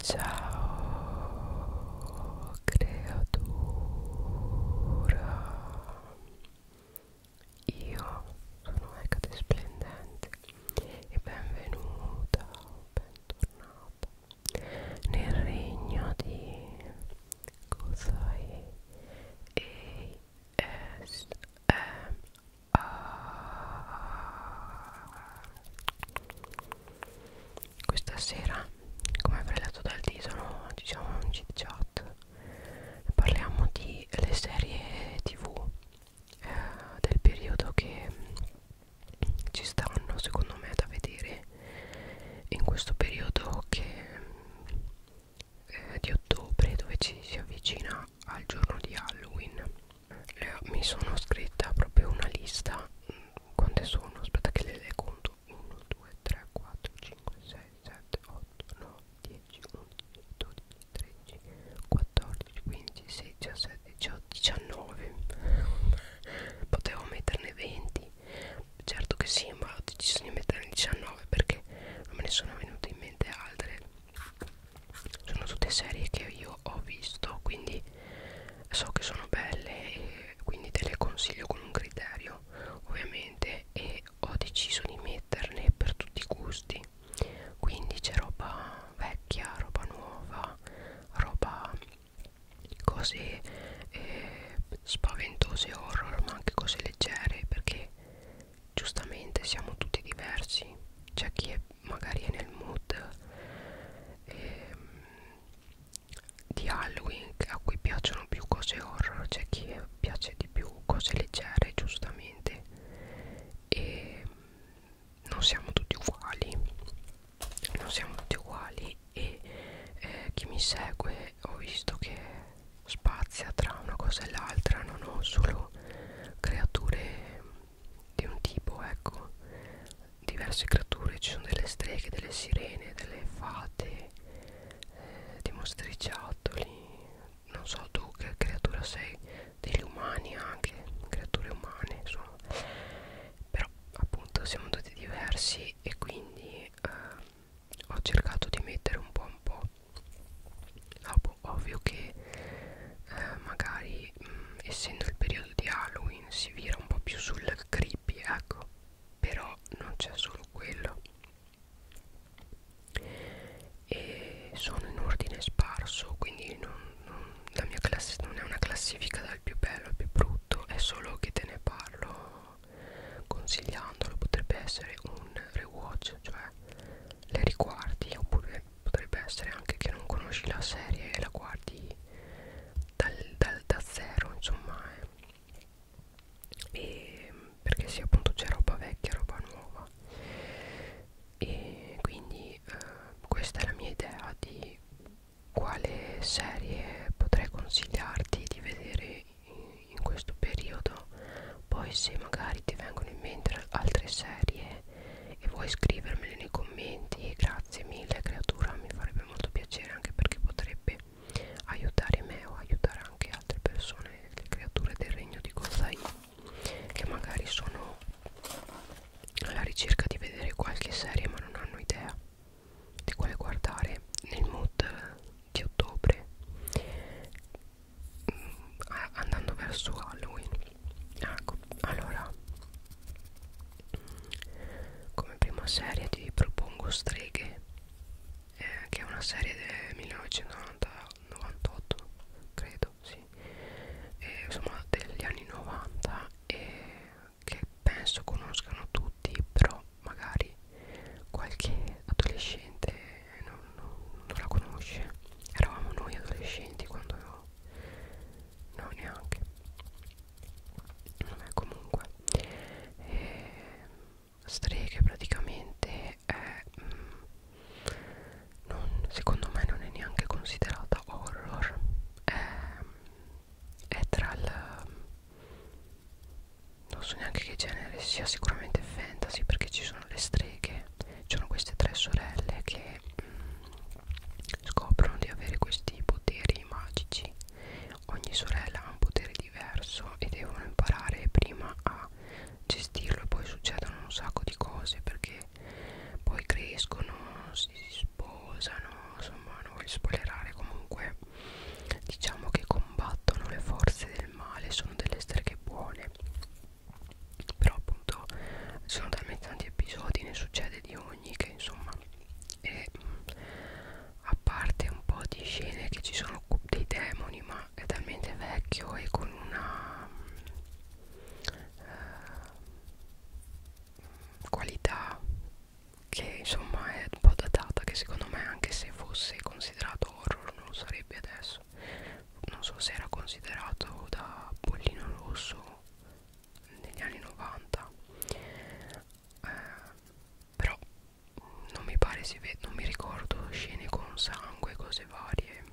Ciao creatura Io sono Hecate Splendente e benvenuta o bentornata nel regno di Kosai ASMR questa sera come prelato dal titolo diciamo un chit chat parliamo di le serie tv eh, del periodo che ci stanno secondo me da vedere in questo periodo che eh, di ottobre dove ci si avvicina al giorno di Halloween le, mi sono scritta proprio una lista mm, quante sono aspetta che le, le conto 1 2 3 4 5 6 7 8 9 10 11 12 13 14 15 16 17 18 19 potevo metterne 20 certo che sì ma ho deciso di metterne 19 perché non me ne sono venute in mente altre sono tutte serie che io io ho visto quindi so che sono belle e quindi te le consiglio con un criterio ovviamente e ho deciso di metterne per tutti i gusti quindi c'è roba vecchia roba nuova roba cose eh, spaventose horror ma anche cose leggere perché giustamente siamo tutti diversi c'è chi è magari è nel mood ehm, di Halloween a cui piacciono più cose horror c'è cioè chi piace di più cose leggere giustamente e non siamo tutti uguali non siamo tutti uguali e eh, chi mi segue ho visto che spazia tra una cosa e l'altra non ho solo creature di un tipo ecco diverse creature ci sono delle streghe delle sirene delle fate eh, dei mostriciattoli non so tu che creatura sei degli umani anche creature umane insomma però appunto siamo tutti diversi e quindi eh, ho cercato di mettere un po' un po' Dopo, ah, boh, ovvio che eh, magari mh, mm, essendo il periodo di Halloween si vira un po' più sul creepy ecco però non c'è solo quello e sono in ordine sparso quindi non, non, la mia classe non è una classifica dal più bello al più brutto è solo che te ne parlo consigliandolo potrebbe essere un rewatch cioè le riguardi oppure potrebbe essere anche che non conosci la serie e la guardi dal, dal, da zero insomma eh. e perché sì appunto c'è roba vecchia roba nuova e quindi eh, questa è la mia idea di quale serie potrei consigliarti di vedere in, in questo periodo poi se magari ti vengono in mente altre serie e vuoi scrivermeli nei commenti grazie mille creatura mi farebbe molto piacere anche perché potrebbe aiutare me o aiutare anche altre persone le creature del regno di Kozai che magari sono alla ricerca di vedere qualche serie ma non hanno idea di quale guardare nel mood di ottobre mm, andando verso Halloween ecco allora come prima serie ti propongo Streghe eh, che è una serie del 1998 credo sì eh, insomma degli anni 90 e che penso conoscano tutti però magari qualche adolescente non, non, non la conosce eravamo noi adolescenti quando no neanche Vabbè, comunque eh, streghe praticamente è, mh, mm, non, secondo me non è neanche considerata horror è, è tra il non so neanche che genere sia sicuramente fantasy perché ci sono le streghe ci sono queste tre sorelle che mh, mm, scoprono di avere questi poteri magici ogni sorella ha un potere diverso e devono imparare prima a gestirlo e poi succedono un sacco di cose perché poi crescono si sposano insomma non voglio spoilerare comunque diciamo che combattono le forze del male sono delle streghe buone però appunto sono talmente tanti episodi ne succede di ogni sogni che insomma è, a parte un po' di scene che ci sono dei demoni ma è talmente vecchio e con una uh, qualità che insomma è un po' datata che secondo me anche se fosse considerato horror non lo sarebbe adesso non so se era considerato da Pollino Rosso negli anni 90 eh, però non mi pare si vede non mi ricordo scene con sangue cose varie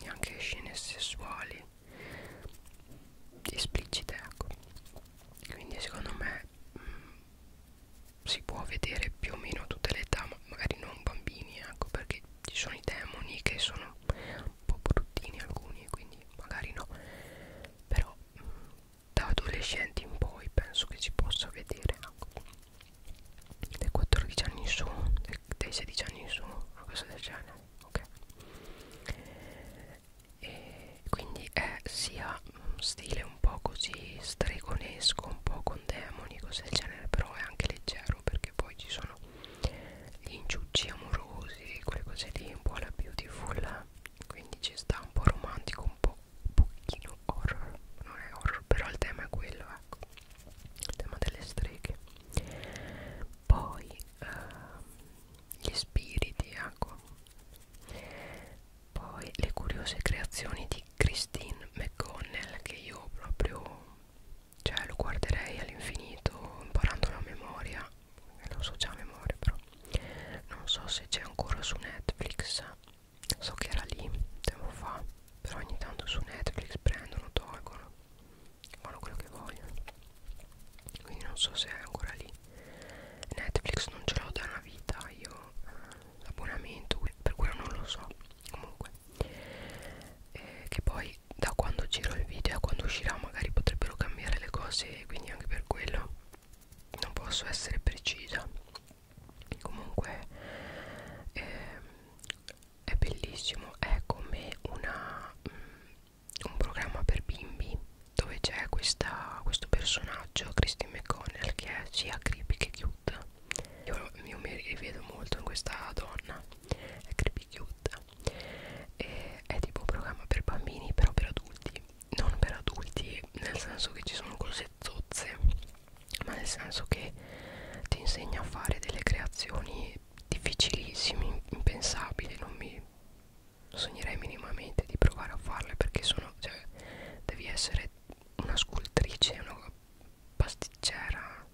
neanche scene sessuali esplicite ecco quindi secondo me mh, mm, si può vedere più o meno a tutte le età ma magari non bambini ecco perché ci sono i demoni che sono un po' bruttini alcuni quindi magari no però mh, mm, da adolescenti in poi penso che si possa vedere ecco. dai 14 anni in su dai 16 anni in su una cosa del genere ok e quindi è sia mm, stile un po' così stregonesco un po' con demoni cose del genere però è anche leggero perché poi ci sono gli inciucci amorosi, quelle cose lì un po' alla beautiful, quindi ci sta un po' romantico, un po' un pochino horror, non è horror, però il tema è quello, ecco, il tema delle streghe. Poi ehm, gli spiriti, ecco. Poi le curiose creazioni di Christine McConnell che io proprio cioè lo guarderei all'infinito imparando la memoria lo so già a memoria però non so se c'è ancora su Netflix so che era lì tempo fa però ogni tanto su Netflix prendono, tolgono fanno quello che vogliono quindi non so se è ancora lì Netflix non ce l'ho da una vita io eh, l'abbonamento per quello non lo so comunque eh, che poi poi da quando giro il video a quando uscirà magari potrebbero cambiare le cose quindi anche per quello non posso essere precisa comunque eh, è bellissimo è come una, mh, mm, un programma per bimbi dove c'è questo personaggio Christy McConnell che è sia creepy che cute io, io mi rivedo molto in questa donna è creepy cute e è tipo un programma per bambini però per adulti non per adulti nel senso che ci sono cose zozze ma nel senso che ti insegna a fare delle creazioni difficilissime impensabili non mi sognerei minimamente di provare a farle perché sono cioè devi essere una scultrice una pasticcera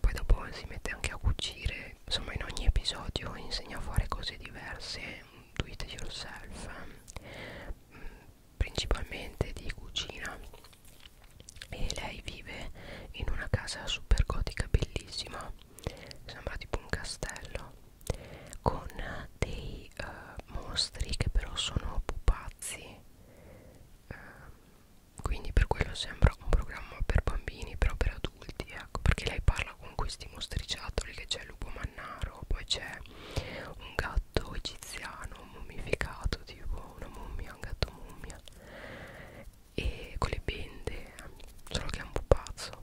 poi dopo si mette anche a cucire poi insomma in ogni episodio insegno a fare cose diverse do it yourself eh, principalmente di cucina e lei vive in una casa super gotica bellissima sembra tipo un castello con dei uh, mostri che però sono pupazzi uh, quindi per quello sembra un programma per bambini però per adulti adulti ecco perché lei parla con questi mostriciattoli che c'è il lupo mannaro poi c'è un gatto egiziano mummificato tipo una mummia un gatto mummia e con le bende solo che è un pupazzo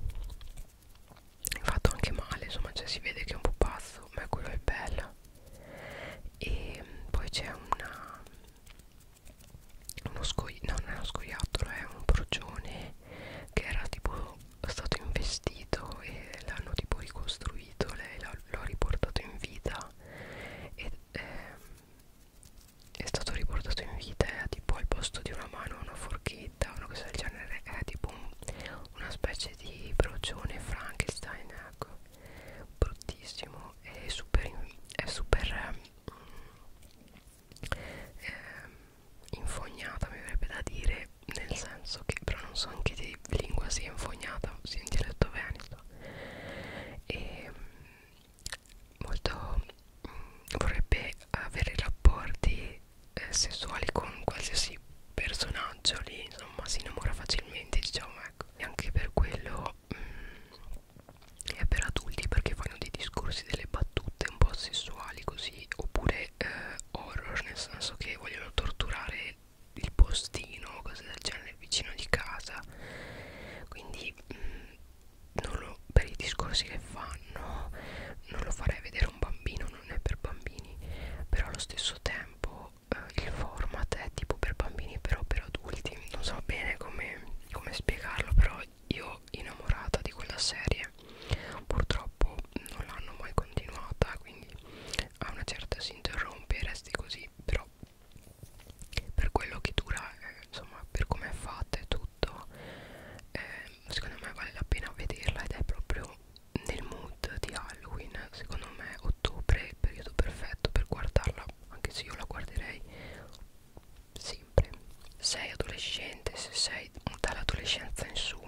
fatto anche male insomma cioè si vede che è un pupazzo ma quello è bello e poi c'è una uno scoiattolo, no non è uno scoiattolo, è un procione che era tipo stato investito e l'hanno tipo ricostruito, lei l'ha riportato in vita ed eh, è stato riportato in vita e ha tipo al posto di una mano una forchetta, una cosa del genere, è tipo un, una specie di procione Frankenstein, ecco, bruttissimo, è super, è super mm, eh, infognata mi verrebbe da dire nel senso che però non so anche di lingua sia infognata sia in dialetto veneto e molto mh, mm, vorrebbe avere rapporti eh, sessuali con qualsiasi personaggio lì insomma si innamora facilmente diciamo ecco e anche per quello mh, mm, è per adulti perché fanno dei discorsi, delle battute un po' sessuali così oppure eh, horror nel senso che vogliono torturare il postino cose del genere vicino di casa quindi mh, mm, non lo, per i discorsi che fanno non lo farei vedere a un bambino non è per bambini però allo stesso tempo eh, il format è tipo per bambini però per adulti non so bene come, come spiegarlo però io innamorata di quella serie purtroppo non l'hanno mai continuata quindi a una certa si interrompe resti così però per quello che dura eh, insomma per come è fatta e tutto eh, secondo me vale la pena vederla ed è proprio nel mood di Halloween secondo me ottobre è il periodo perfetto per guardarla anche se io la guarderei sempre sei adolescente se sei dall'adolescenza in su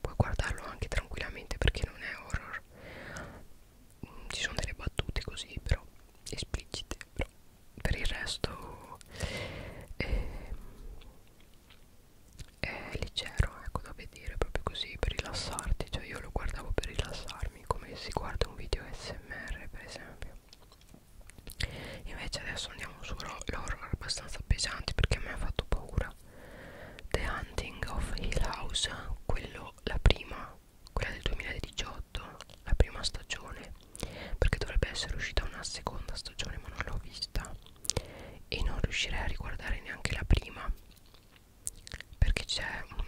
puoi guardarlo anche tranquillamente perché non è horror mm, ci sono delle battute così però esplicite però per il resto eh, è leggero ecco da vedere proprio così per rilassarti cioè io lo guardavo per rilassarmi come si guarda un video smr per esempio Invece adesso andiamo su l'horror abbastanza pesante perché mi ha fatto paura The Hunting of Hill House Quello, la prima, quella del 2018 La prima stagione Perché dovrebbe essere uscita una seconda stagione ma non l'ho vista E non riuscirei a riguardare neanche la prima Perché ci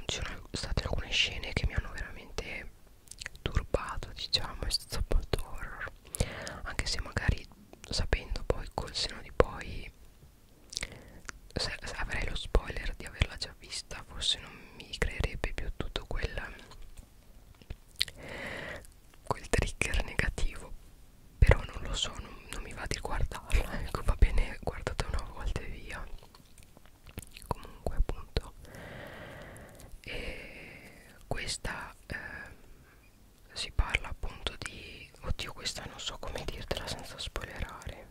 sono state alcune scene che mi hanno veramente turbato diciamo è stato molto horror anche se magari sapendo poi col seno di poi se, se avrei lo spoiler di averla già vista forse non mi creerebbe più tutto quel quel trigger negativo però non lo so non, non mi va di guardarla ecco va bene guardate una volta e via comunque appunto e questa eh, si parla appunto di oddio questa non so come dirtela senza spoilerare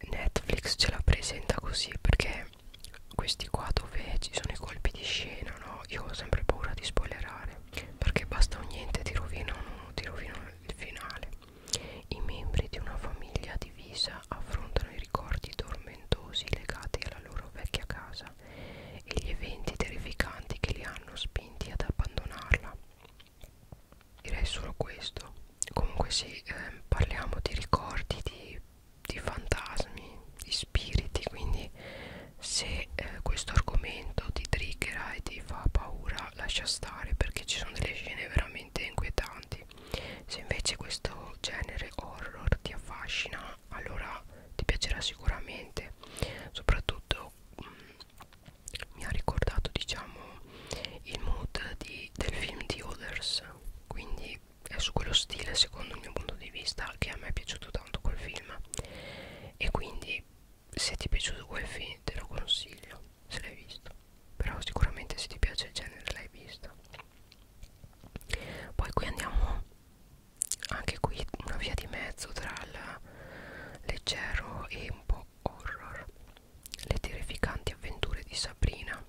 Netflix ce la presenta così perché questi qua dove ci sono i colpi di scena no io ho sempre paura di spoilerare perché basta o niente ti rovinano, ti rovinano il finale i membri di una famiglia divisa affrontano i ricordi tormentosi legati alla loro vecchia casa vita e gli eventi terrificanti che li hanno spinti ad abbandonarla. Direi solo questo. Comunque sì, eh, parliamo di ricordi, di, di fantasmi, di spiriti, quindi se eh, questo argomento ti triggera e ti fa paura lascia stare perché ci sono delle scene veramente inquietanti. Se invece questo genere horror ti affascina allora ti piacerà sicuramente soprattutto mh, mm, mi ha ricordato diciamo il mood di, del film di Others quindi è su quello stile secondo il mio punto di vista che a me è piaciuto tanto quel film e quindi se ti è piaciuto quel film te lo consiglio se l'hai visto però sicuramente se ti piace il genere l'hai visto poi qui andiamo anche qui una via di mezzo tra il leggero e un po' horror le terrificanti avventure di Sabrina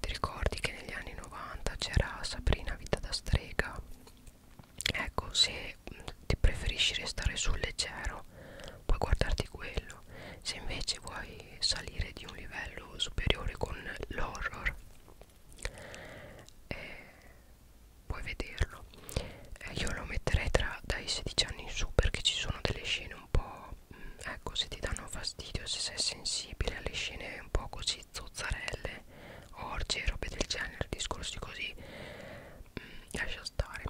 ti ricordi che negli anni 90 c'era Sabrina vita da strega ecco se mm, ti preferisci restare sul leggero puoi guardarti quello se invece vuoi salire di un livello superiore con l'horror eh, puoi vederlo eh, io lo metterei tra dai 16 anni in su perché ci sono delle scene un po' mh, mm, ecco se ti danno fastidio se sei sensibile alle scene un po' così zozzarelle orge robe del genere discorsi così mh, mm, lascia stare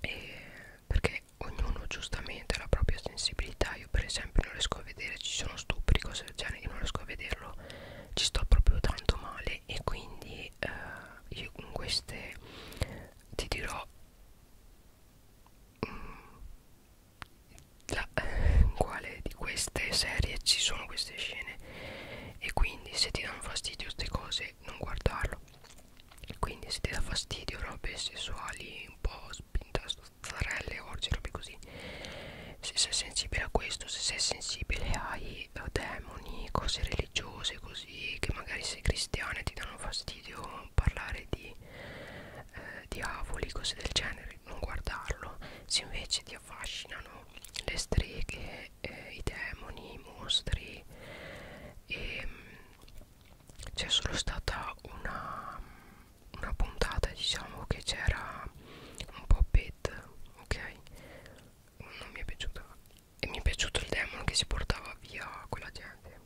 e perché ognuno giustamente ha la propria sensibilità io per esempio non riesco a vedere ci sono stupri cose del genere io non riesco a vederlo ci sto proprio tanto male e quindi eh, io in queste ti dirò mm, la, eh, in quale di queste serie ci sono queste scene e quindi se ti danno fastidio queste cose non guardarlo quindi se ti dà fastidio robe sessuali un po' spinta farelle orge robe così se sei sensibile a questo se sei sensibile ai eh, demoni cose religiose così che magari sei cristiana e ti danno fastidio parlare di eh, diavoli cose del genere non guardarlo se invece ti affascinano le streghe eh, i demoni i mostri e ehm, c'è solo stata una una puntata diciamo che c'era un po' bad ok non mi è piaciuta e mi è piaciuto il demon che si portava via quella gente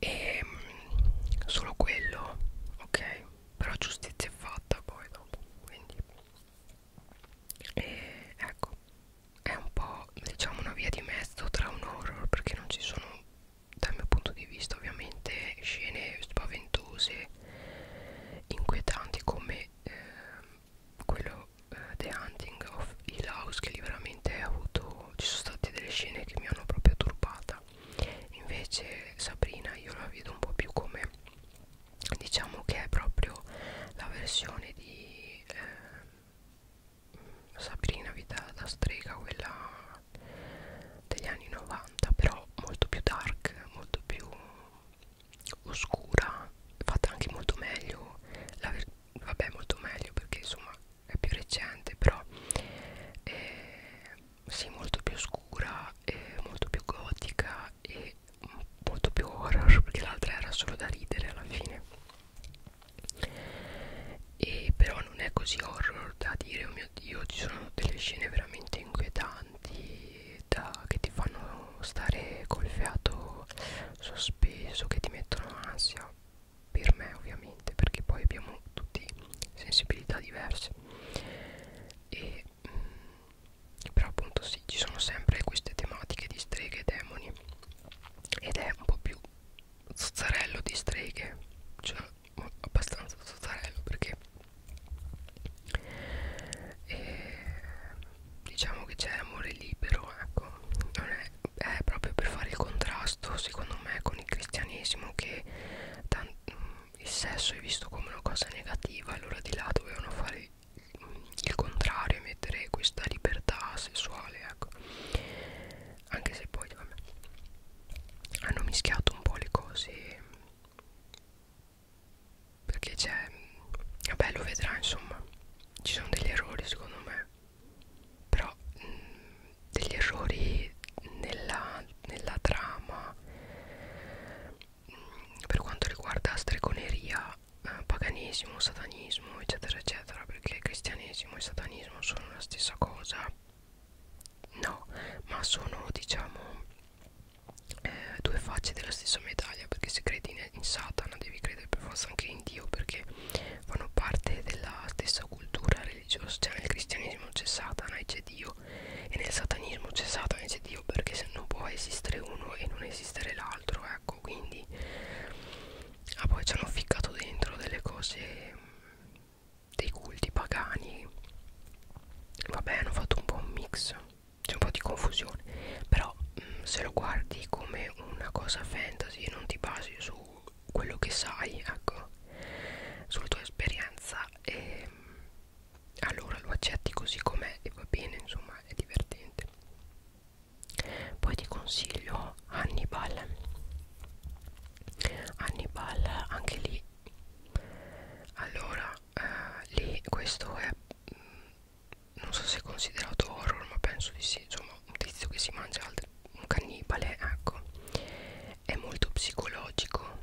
e ehm, solo quello ok però giustizia è fatta poi dopo quindi e ecco è un po' diciamo una via di mezzo tra un horror perché non ci sono dal mio punto di vista ovviamente scene spaventose inquietanti come eh, quello eh, The Hunting of Hill House che lì veramente ha avuto ci sono state delle scene che mi hanno proprio turbata invece Sabrina io la vedo un po' più come diciamo che è proprio la versione di eh, Sabrina vita da strega quella degli anni 90 però molto più dark molto più oscura fatta anche molto meglio la vabbè molto meglio perché insomma è più recente però eh, sì molto più scura eh, molto più gotica e molto più horror perché l'altra era solo da ridere alla fine e però non è così horror da dire oh mio dio ci sono delle scene veramente inquietanti da, che ti fanno stare col fiato sospeso che ti mettono ansia per me ovviamente perché poi abbiamo tutti sensibilità diverse e mh, mm, però appunto sì ci sono sempre queste tematiche di streghe e demoni ed è un po' più zozzarello di streghe cioè abbastanza sotarello perché eh, diciamo che c'è amore libero ecco non è, è proprio per fare il contrasto secondo me con il cristianesimo che mm, il sesso è visto come una cosa negativa allora di là dovevano fare il contrario e mettere questa libertà sessuale ecco anche se poi vabbè, hanno mischiato un po' le cose perché c'è vabbè lo vedrà insomma ci sono degli errori secondo me però mh, degli errori nella, nella trama mh, per quanto riguarda stregoneria eh, paganesimo satanismo eccetera eccetera perché cristianesimo e satanismo sono la stessa cosa no ma sono diciamo eh, due facce della stessa medaglia perché se credi in, in Satana devi credere per forza anche in Dio perché fanno parte della stessa cultura religiosa cioè nel cristianesimo c'è Satana e c'è Dio e nel satanismo c'è Satana e c'è Dio perché se non può esistere uno e non esistere l'altro ecco quindi ah poi ci hanno ficcato dentro delle cose dei culti pagani vabbè hanno fatto un po' un mix c'è un po' di confusione però mh, mm, se lo guardi come una cosa fantasy e non ti basi su quello che sai ecco sulla tua esperienza e mm, allora lo accetti così com'è e va bene insomma è divertente poi ti consiglio Hannibal Hannibal anche lì allora eh, lì questo è mh, mm, non so se è considerato horror ma penso di sì insomma un tizio che si mangia altri, un cannibale ecco è molto psicologico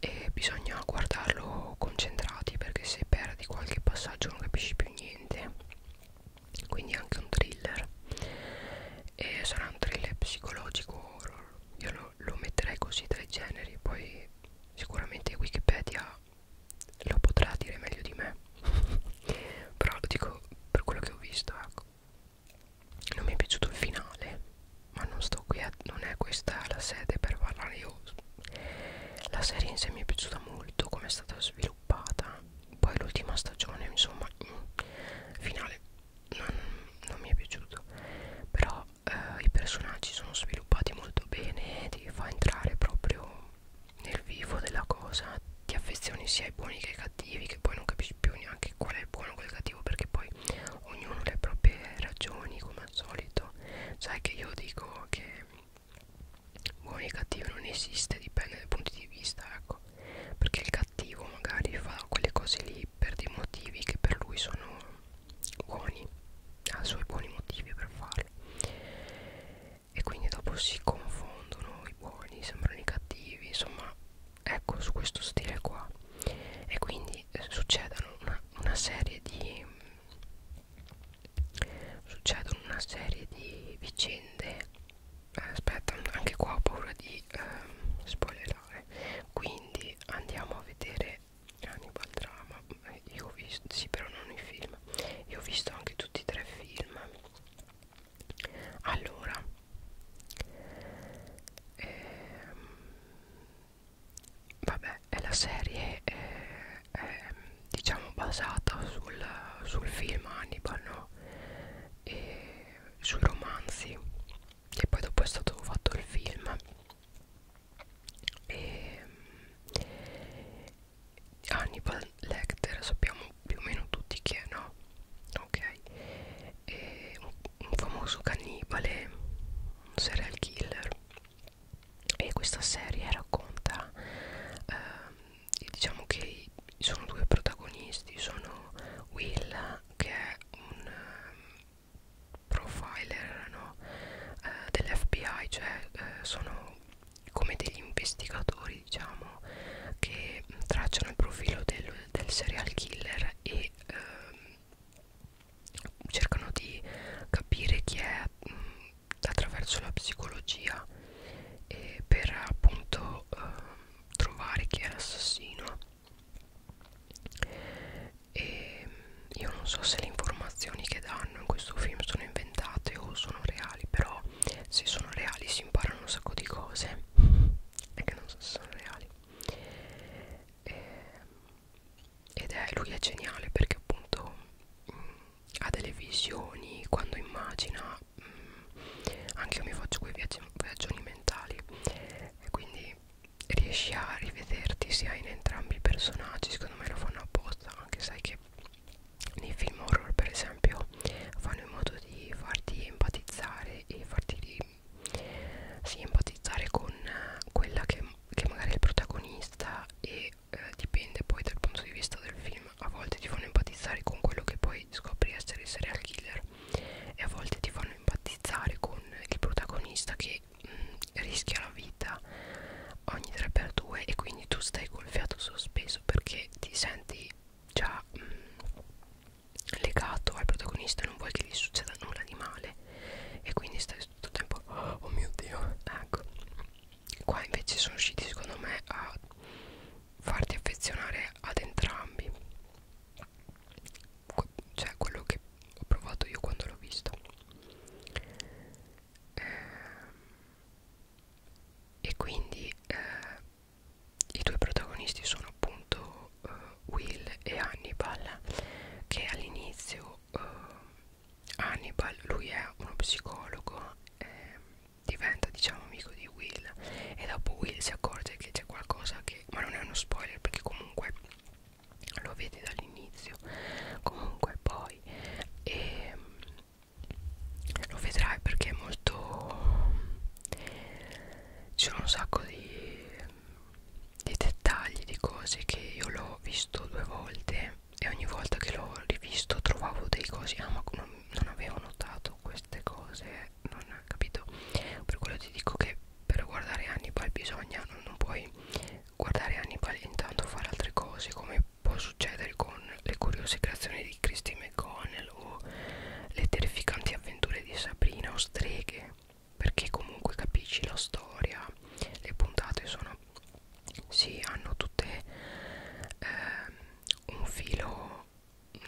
e bisogna guardarlo concentrati perché se perdi qualche passaggio non capisci più niente quindi anche un thriller e sarà un thriller psicologico horror io lo lo, lo metterei così tra i generi poi sicuramente wikipedia lo potrà dire meglio di me però lo dico per quello che ho visto ecco non mi è piaciuto il finale ma non sto qui a, non è questa la sede per parlare io la serie in sé mi è piaciuta molto come è stata sviluppata poi l'ultima stagione insomma mm, finale non, non mi è piaciuto però eh, i personaggi sono sviluppati molto bene ti fa entrare proprio nel vivo della cosa ti affezioni sia ai buoni che ai cattivi che poi non capisci più neanche qual è il buono e qual è il cattivo perché poi ognuno ha le proprie ragioni come al solito sai che io dico che buoni e cattivi non esiste dipende dai punti di vista ecco perché il cattivo magari fa quelle cose lì per dei motivi che per lui sono buoni ha i suoi buoni motivi per farlo e quindi dopo si confondono i buoni sembrano i cattivi insomma ecco su questo stile qua e quindi eh, succedono una, una serie di succedono una serie di vicende eh, aspetta anche qua ho paura di eh, spoiler aspettare quindi andiamo a vedere Hannibal Drama io ho visto, sì però non i film io ho visto anche tutti e tre i film allora ehm, vabbè è la serie eh, è, diciamo basata sul, sul film Hannibal no? e sui romanzi e poi dopo è stato fatto il film e mm, Hannibal Lecter sappiamo più o meno tutti chi è no? ok e un, un famoso cannibale un serial killer e questa serie racconta eh, diciamo che sono due protagonisti sono Will che è un ehm, profiler no? eh, dell'FBI, cioè eh, sono come degli investigatori diciamo che tracciano il profilo del, del serial killer e ehm, cercano di capire chi è mh, attraverso la psicologia e per appunto eh, trovare chi è l'assassino e io non so se le informazioni che danno in questo film sono inventate o sono reali però se sono reali si imparano un sacco di cose e che non so se sono reali e, ed è lui è geniale perché appunto mh, mm, ha delle visioni quando immagina mh, mm, anche io mi faccio quei viaggi, viaggioni mentali e quindi riesci a rivederti sia in entrambi i personaggi secondo me lo fanno apposta anche sai che nei film horror per esempio fanno in modo di farti empatizzare e farti di, sì, empatizzare con eh, quella che, che magari è il protagonista e eh, dipende poi dal punto di vista del film a volte ti fanno empatizzare con quello che poi scopri essere il serial killer e a volte ti fanno empatizzare con il protagonista che mh, mm, rischia la vita ogni 3x2 e quindi tu stai col fiato sospeso perché ti senti già mh, mm, legato al protagonista non vuoi che gli succeda nulla di male e quindi stai tutto il tempo oh, oh mio dio ecco qua invece sono riusciti secondo me a farti affezionare ad entrambi cioè quello che ho provato io quando l'ho visto eh, e quindi eh, i due protagonisti sono appunto eh, Will e Hannibal che all'inizio eh, Hannibal lui è uno psicologo eh, diventa diciamo amico di Will e dopo Will si accorge che c'è qualcosa che perché, ma non è uno spoiler perché comunque lo vedi dall'inizio comunque poi e, ehm, lo vedrai perché è molto ci sono un sacco di, di dettagli di cose che io l'ho visto due volte e ogni volta che l'ho rivisto trovavo dei cosi ah ma non, non avevo notato queste cose non capito per quello ti dico che per guardare Hannibal bisogna non, non puoi guardare Hannibal e intanto fare altre cose come può succedere con le curiose creazioni di Christy McConnell o le terrificanti avventure di Sabrina o streghe perché comunque capisci la storia le puntate sono sì hanno tutte eh, un filo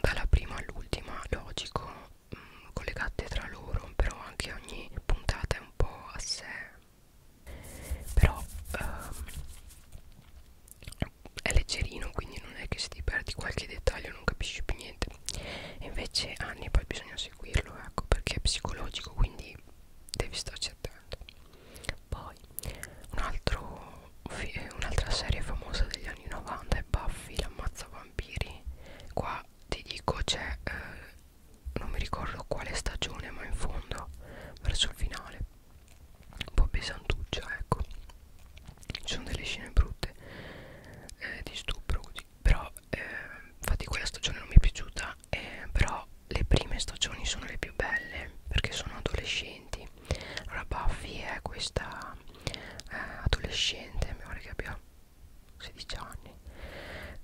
dalla prima all'ultima logico mh, mm, collegate tra loro però anche ogni puntata è un po' a sé però ehm, è leggerino quindi non è che se ti perdi qualche dettaglio non capisci più niente e invece anni poi bisogna seguirlo ecco perché è psicologico quindi devi starci attento poi un'altra un serie famosa degli anni 90 è Buffy l'ammazza vampiri qua ti dico c'è eh, non mi ricordo quale stagione ma in fondo verso il finale un po' pesantuccia ecco ci sono delle scene brutte eh, di stupro così però eh, infatti quella stagione non mi è piaciuta eh, però le prime stagioni sono le più belle perché sono adolescenti allora Buffy è questa eh, adolescente mi pare che abbia 16 anni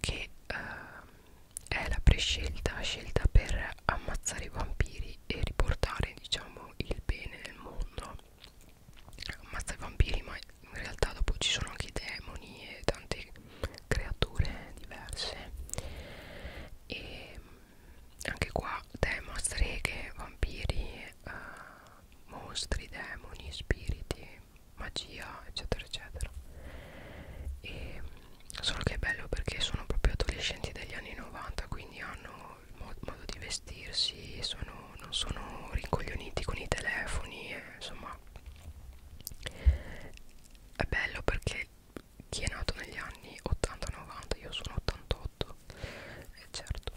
che eh, è la prescelta scelta per ammazzare i vampiri e riportare diciamo il bene nel mondo ammazza i vampiri ma in realtà dopo ci sono anche i demoni e tante creature diverse e ehm, anche qua tema streghe vampiri eh, mostri, demoni, spiriti, magia, eccetera, eccetera. E solo che è bello perché sono proprio adolescenti degli anni 90, quindi hanno il mo modo di vestirsi, sono, non sono rincoglioniti con i telefoni, e, eh, insomma è bello perché chi è nato negli anni 80-90, io sono 88, eh, certo,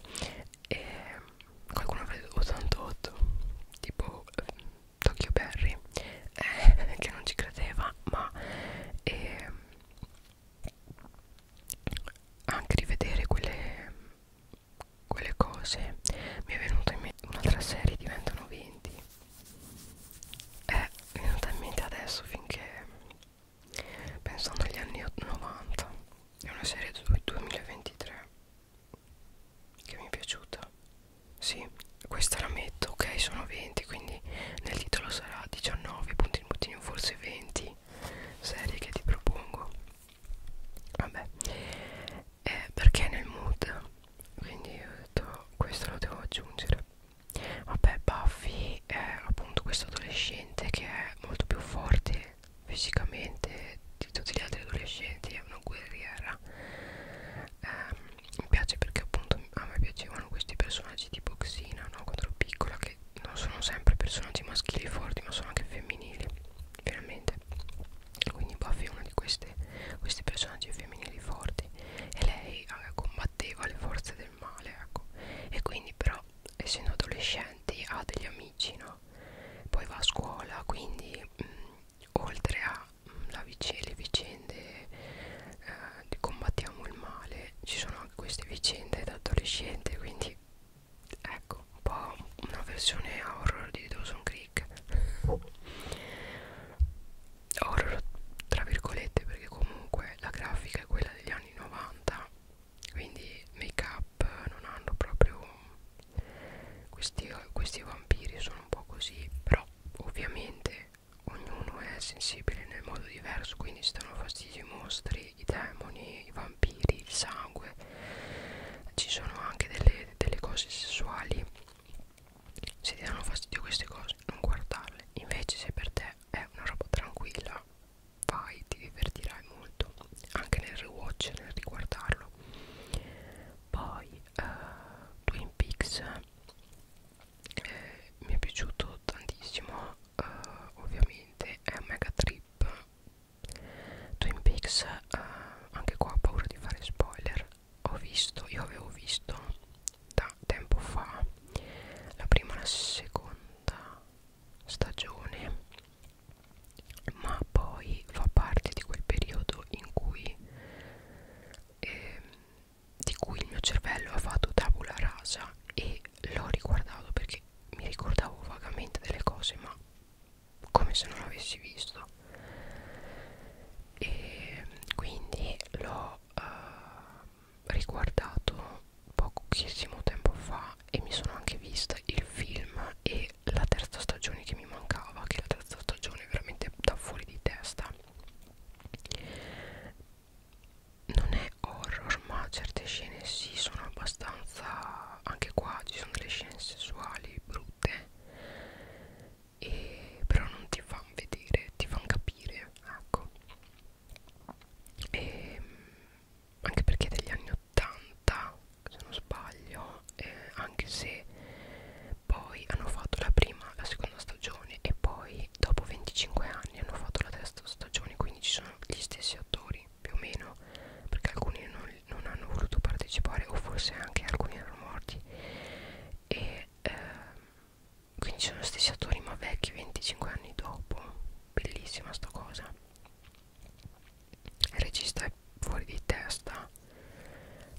e ehm, qualcuno avrà 88 tipo eh, Tokyo Berry eh, che non ci credeva ma eh, anche rivedere quelle, quelle cose mi è venuta in mente un'altra serie diventano 20 eh, mi è venuta in mente adesso finché pensando agli anni 90 è una serie del 2023 che mi è piaciuta sì questa la metto ok sono 20 quindi nel titolo sarà 19 puntino puntino forse 20 serie che ti propongo vabbè eh, perché è nel mood quindi ho detto questo lo devo aggiungere vabbè Buffy è appunto questo adolescente che è molto più forte fisicamente di tutti gli altri adolescenti è una guerriera eh, mi piace perché appunto a me piacevano questi personaggi tipo Xina no? quando ero piccola che non sono sempre personaggi maschili forti ma sono anche femminili veramente quindi Buffy è una di queste questi personaggi femminili forti e lei eh, combatteva le forze del male ecco e quindi però essendo adolescenti ha degli amici no? cucina poi va a scuola quindi mh, mm, oltre a mh, mm, la vic le vicende eh, di combattiamo il male ci sono anche queste vicende da adolescente quindi ecco un po' una versione horror di Dawson Creek horror tra virgolette perché comunque la grafica è quella degli anni 90 quindi make up non hanno proprio questi, questi vampiri sono un po' così però ovviamente ognuno è sensibile nel modo diverso quindi si danno fastidio i mostri i demoni i vampiri il sangue ci sono anche delle, delle cose sessuali se ti danno fastidio queste cose non guardarle invece se per te è una roba tranquilla vai ti divertirai molto anche nel rewatch nel riguardarlo poi uh, Twin Peaks eh, mi è piaciuto tantissimo uh, ovviamente è un mega trip Twin Peaks uh, anche qua ho paura di fare spoiler ho visto, io avevo visto da tempo fa la prima e la seconda stagione ma poi fa parte di quel periodo in cui eh, di cui il mio cervello ha fatto tabula rasa e l'ho riguardato perché mi ricordavo vagamente delle cose ma come se non l'avessi visto e quindi l'ho eh, riguardato pochissimo tempo fa e mi sono anche vista il film e la terza stagione che mi mancava che la terza stagione è veramente da fuori di testa non è horror ma certe scene sì sono abbastanza anche qua ci sono delle scene sessuali brutte e però non ti fanno vedere ti fanno capire ecco e ehm, anche perché è degli anni 80 se non sbaglio eh, anche se poi hanno fatto la prima la seconda stagione e poi dopo 25 anni hanno fatto la terza stagione quindi ci sono gli stessi attori più o meno perché alcuni non, non hanno voluto partecipare o forse anche alcuni erano morti e eh, quindi sono gli stessi attori ma vecchi 25 anni dopo bellissima sta cosa il regista è fuori di testa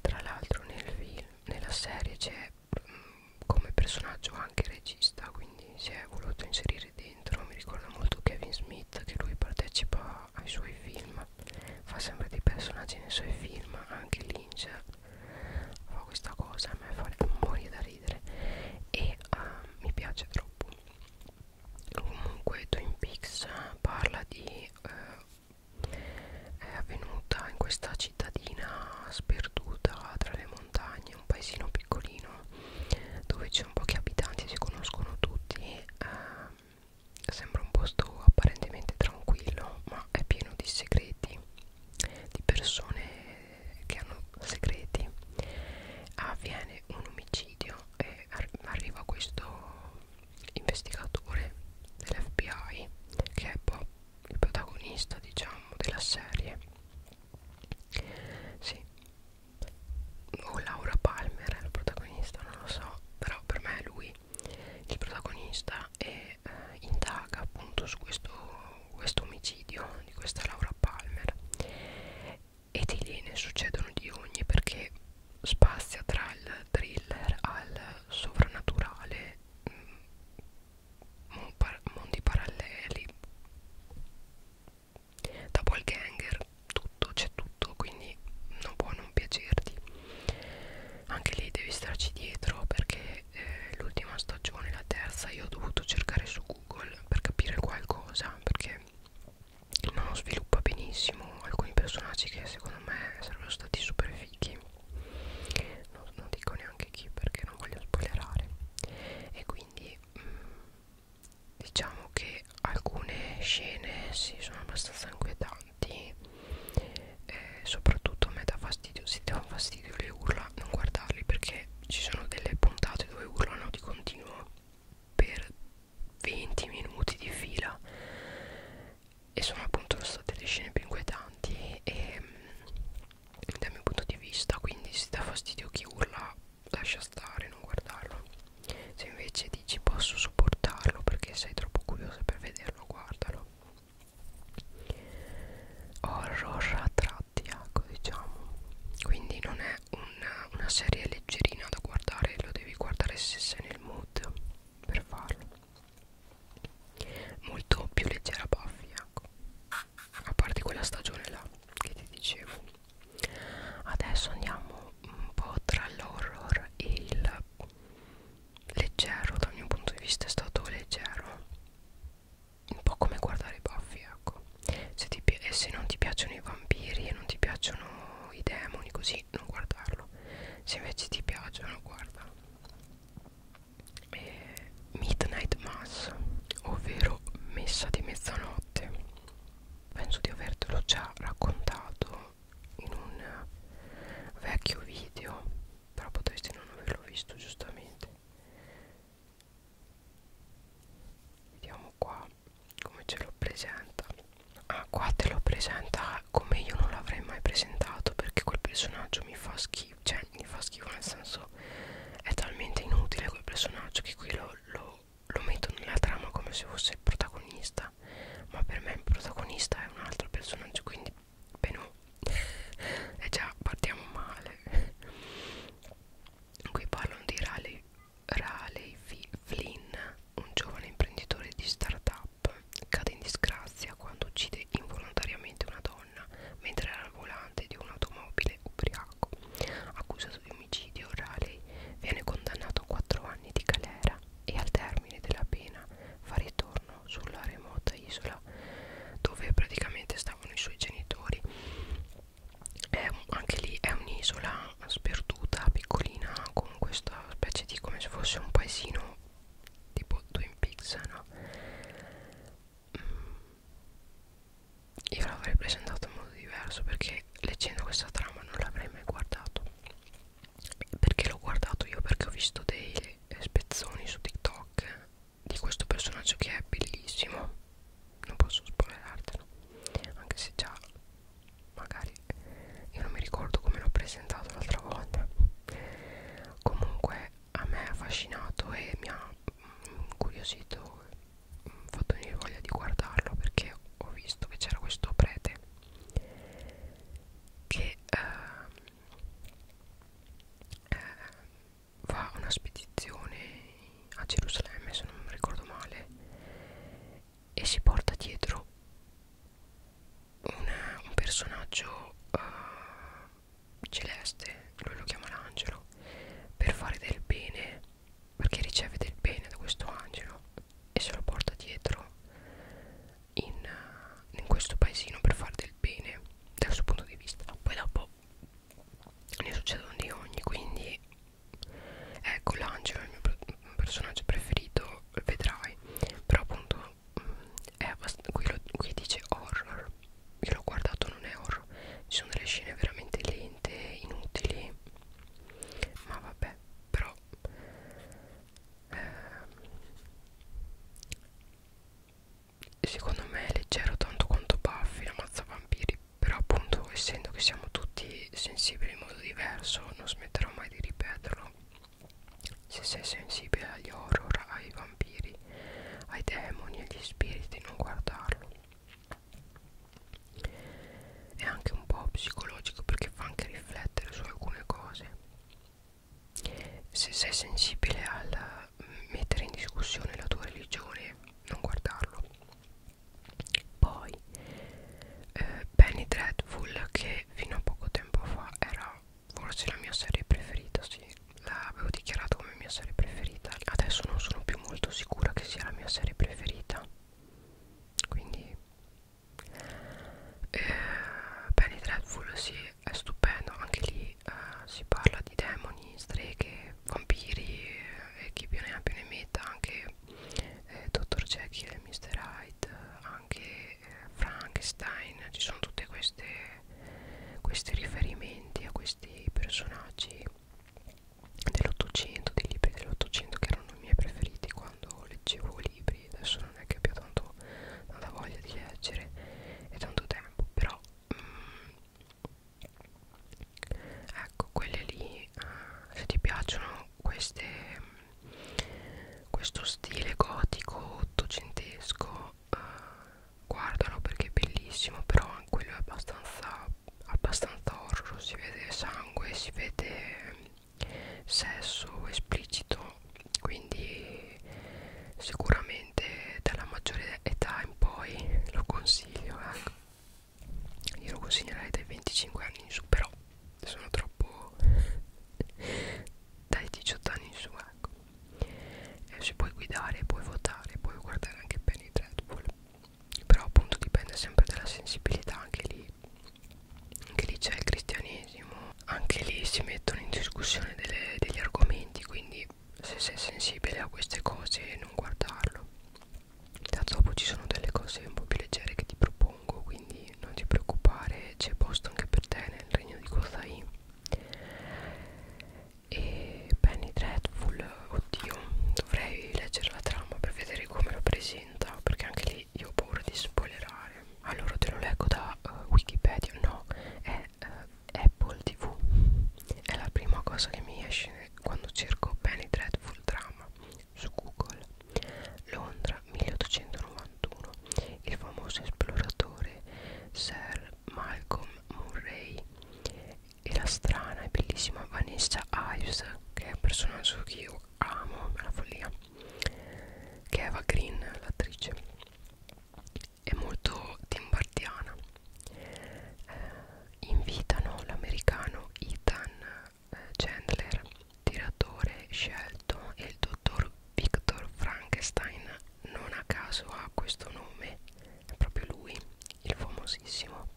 tra l'altro nel film nella serie c'è mm, come personaggio anche il regista quindi si è voluto inserire dentro mi ricorda molto Kevin Smith che lui partecipa ai suoi film fa sempre dei personaggi nei suoi film anche Lynch fa questa cosa a me fa morire da ridere e uh, mi piace troppo comunque Twin Peaks eh, parla di eh, è avvenuta in questa cittadina sperduta tra le montagne un paesino piccolino dove c'è un pochi abitanti si conoscono tutti eh, sembra un posto apparentemente tranquillo ma è pieno di segreti di persone che hanno segreti avviene un omicidio eh, arriva questo investigatore dell'FBI che è Bob, il protagonista diciamo della serie sì o Laura Palmer è il protagonista non lo so però per me è lui il protagonista e eh, indaga appunto su questo, questo omicidio di questa Laura Palmer e di lì ne succedono di ogni perché spazia tra il thriller al sovrannaturale mm, mondi paralleli doppelganger tutto c'è tutto quindi non può non piacerti anche lì devi starci dietro perché eh, l'ultima stagione la terza io ho dovuto cercare su google per capire qualcosa perché non sviluppa benissimo alcuni personaggi che secondo me sarebbero stati super fighi non, non dico neanche chi perché non voglio spoilerare e quindi mh, mm, diciamo che alcune scene sì, sono abbastanza inquietanti eh, soprattutto a me dà fastidio se ti dà fastidio le urla non guardarli perché ci sono delle puntate dove urlano di continuo per 20 minuti di fila e sono appunto state le scene più inquietanti e ehm, dal mio punto di vista quindi se dà fastidio chi urla lascia stare non guardarlo se invece dici posso sopportarlo perché sei troppo curiosa per vederlo guardalo horror a tratti ecco diciamo quindi non è è una, una serie leggerina da guardare lo devi guardare se sei nel mood per farlo molto più leggera Buffy ecco a parte quella stagione là che ti dicevo adesso andiamo un po' tra l'horror e il leggero dal mio punto di vista è stato leggero un po' come guardare Buffy ecco se ti, e se non ti piacciono i vampiri e non ti piacciono i demoni così di non guardarlo se invece ti piacciono guarda eh, Midnight Mass ovvero messa di mezzanotte penso di avertelo già raccontato in un vecchio video però potresti non averlo visto giustamente vediamo vediamo qua come ce lo presenta ah qua te lo presenta come io non l'avrei mai presentato perché quel personaggio mi fa schifo cioè mi fa schifo nel senso è talmente inutile quel personaggio che qui lo, lo, lo metto nella trama come se fosse il protagonista ma per me il protagonista è un altro personaggio quindi beh no e già partiamo male qui parlano di rally Raleigh Flynn, un giovane imprenditore di startup, cade in disgrazia quando uccide involontariamente una donna mentre era al volante di un'automobile ubriaco. Accusato di omicidio, Raleigh viene condannato a 4 anni di galera e al termine della pena fa ritorno sulla remota isola dove praticamente stavano i suoi genitori. È un, anche lì è un'isola sperduta piccolina con questa specie di come se fosse un paesino tipo Twin Peaks no? Mm. io l'avrei presentato in modo diverso perché leggendo questa trama non l'avrei mai guardato perché l'ho guardato io perché ho visto dei eh, spezzoni su TikTok di questo personaggio che è bellissimo non posso spoilerartelo anche se già magari io non mi ricordo come l'ho presentato l'altra volta comunque a me ha affascinato e mi ha incuriosito fatto venire voglia di guardarlo perché ho visto che c'era questo prete che ehm, eh, eh, va a una spedizione a Gerusalemme se non ricordo male e si porta dietro una, un personaggio uh, celeste, lui lo chiama l'angelo, per fare del bene, perché riceve del bene da questo angelo e se lo porta dietro in, in questo paesino per fare del bene dal suo punto di vista. Poi dopo ne succedono di ogni, quindi ecco l'angelo è il mio personaggio preferito vedrai però appunto mm, è qui, lo, qui dice horror io l'ho guardato non è horror ci sono delle scene veramente lente inutili ma vabbè però eh, secondo me è leggero tanto quanto Buffy la mazza vampiri però appunto essendo che siamo tutti sei sensibile in modo diverso non smetterò mai di ripeterlo se sei sensibile agli horror ai vampiri ai demoni agli spiriti non guardarlo è anche un po' psicologico perché fa anche riflettere su alcune cose se sei sensibile al mettere in discussione la tua religione non guardarlo poi eh, Penny Dreadful che fino a poco tempo fa era forse la mia serie preferita, sì, l'avevo dichiarata come mia serie preferita. Adesso non sono più molto sicura che sia la mia serie preferita. Quindi eh, Penny Dreadful sì, è stupendo, anche lì eh, si parla di demoni, streghe, vampiri eh, e eh, chi più ne ha più ne metta, anche eh, Dr. Jekyll e Mr. Hyde anche eh, Frankenstein ci sono tutti questi riferimenti a questi personaggi dell'Ottocento, dei libri dell'Ottocento che erano i miei preferiti quando leggevo libri adesso non è che abbia tanto, tanta voglia di leggere e tanto tempo però mm, ecco quelle lì eh, se ti piacciono queste, questo stile gotico ottocentesco eh, guardalo perché è bellissimo però anche quello è abbastanza abbastanza horror si vede sangue si vede sesso esplicito quindi sicuramente dalla maggiore età in poi lo consiglio ecco io lo consiglierei dai 25 anni in su però sono troppo dai 18 anni in su ecco eh, se puoi guidare puoi votare puoi guardare anche bene i Red Bull però appunto dipende sempre dalla sensibilità anche lì anche lì c'è il cristianesimo anche lì si mettono in discussione delle, degli argomenti quindi se sei sensibile a queste cose non guardarlo da dopo ci sono delle cose un po' più leggere che ti propongo quindi non ti preoccupare c'è posto anche per te nel regno di Kozai e Penny Dreadful oddio dovrei leggere la trama per vedere come lo presenta perché anche lì io ho paura di spoilerare allora te lo leggo da uh, Wikipedia no è uh, Apple TV è la prima cosa che mi esce quando cerco Penny Dreadful Drama su Google Londra 1891 il famoso esploratore Sir Malcolm Murray e la strana e bellissima Vanessa Ives che è un personaggio che io amo la follia che è Eva Green l'attrice è molto timbardiana eh, invitano l'americano Ethan Chandler, tiratore scelto e il dottor Victor Frankenstein non a caso ha questo nome, è proprio lui, il famosissimo,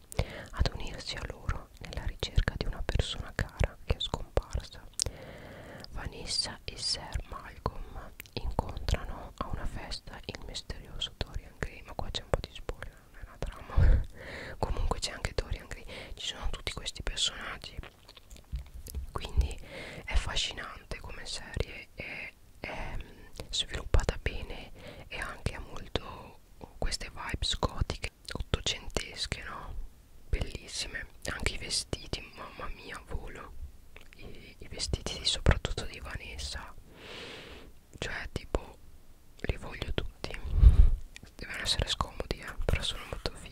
ad unirsi a loro nella ricerca di una persona cara che è scomparsa. Vanessa e Sir Malcolm incontrano a una festa il misterioso Dorian Gray, ma qua c'è un po' di spoiler non è una trama comunque c'è anche Dorian Gray ci sono tutti questi personaggi quindi è affascinante come serie è, è mm, sviluppata bene e anche ha molto queste vibes gotiche ottocentesche no bellissime anche i vestiti mamma mia volo i, i vestiti soprattutto di Vanessa cioè tipo li voglio tutti devono essere scomodi eh, però sono molto fighi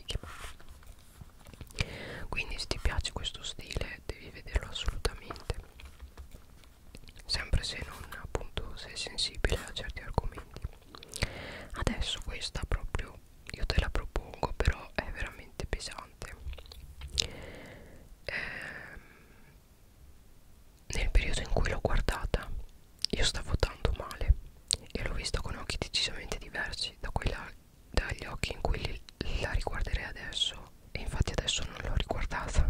quindi se ti piace questo stile devi vederlo assolutamente sempre se non appunto sei sensibile a certi argomenti adesso questa proprio io te la propongo però è veramente pesante ehm, nel periodo in cui l'ho guardata io stavo tanto male e l'ho vista con occhi decisamente diversi da quella, dagli occhi in cui li, la riguarderei adesso e infatti adesso non l'ho riguardata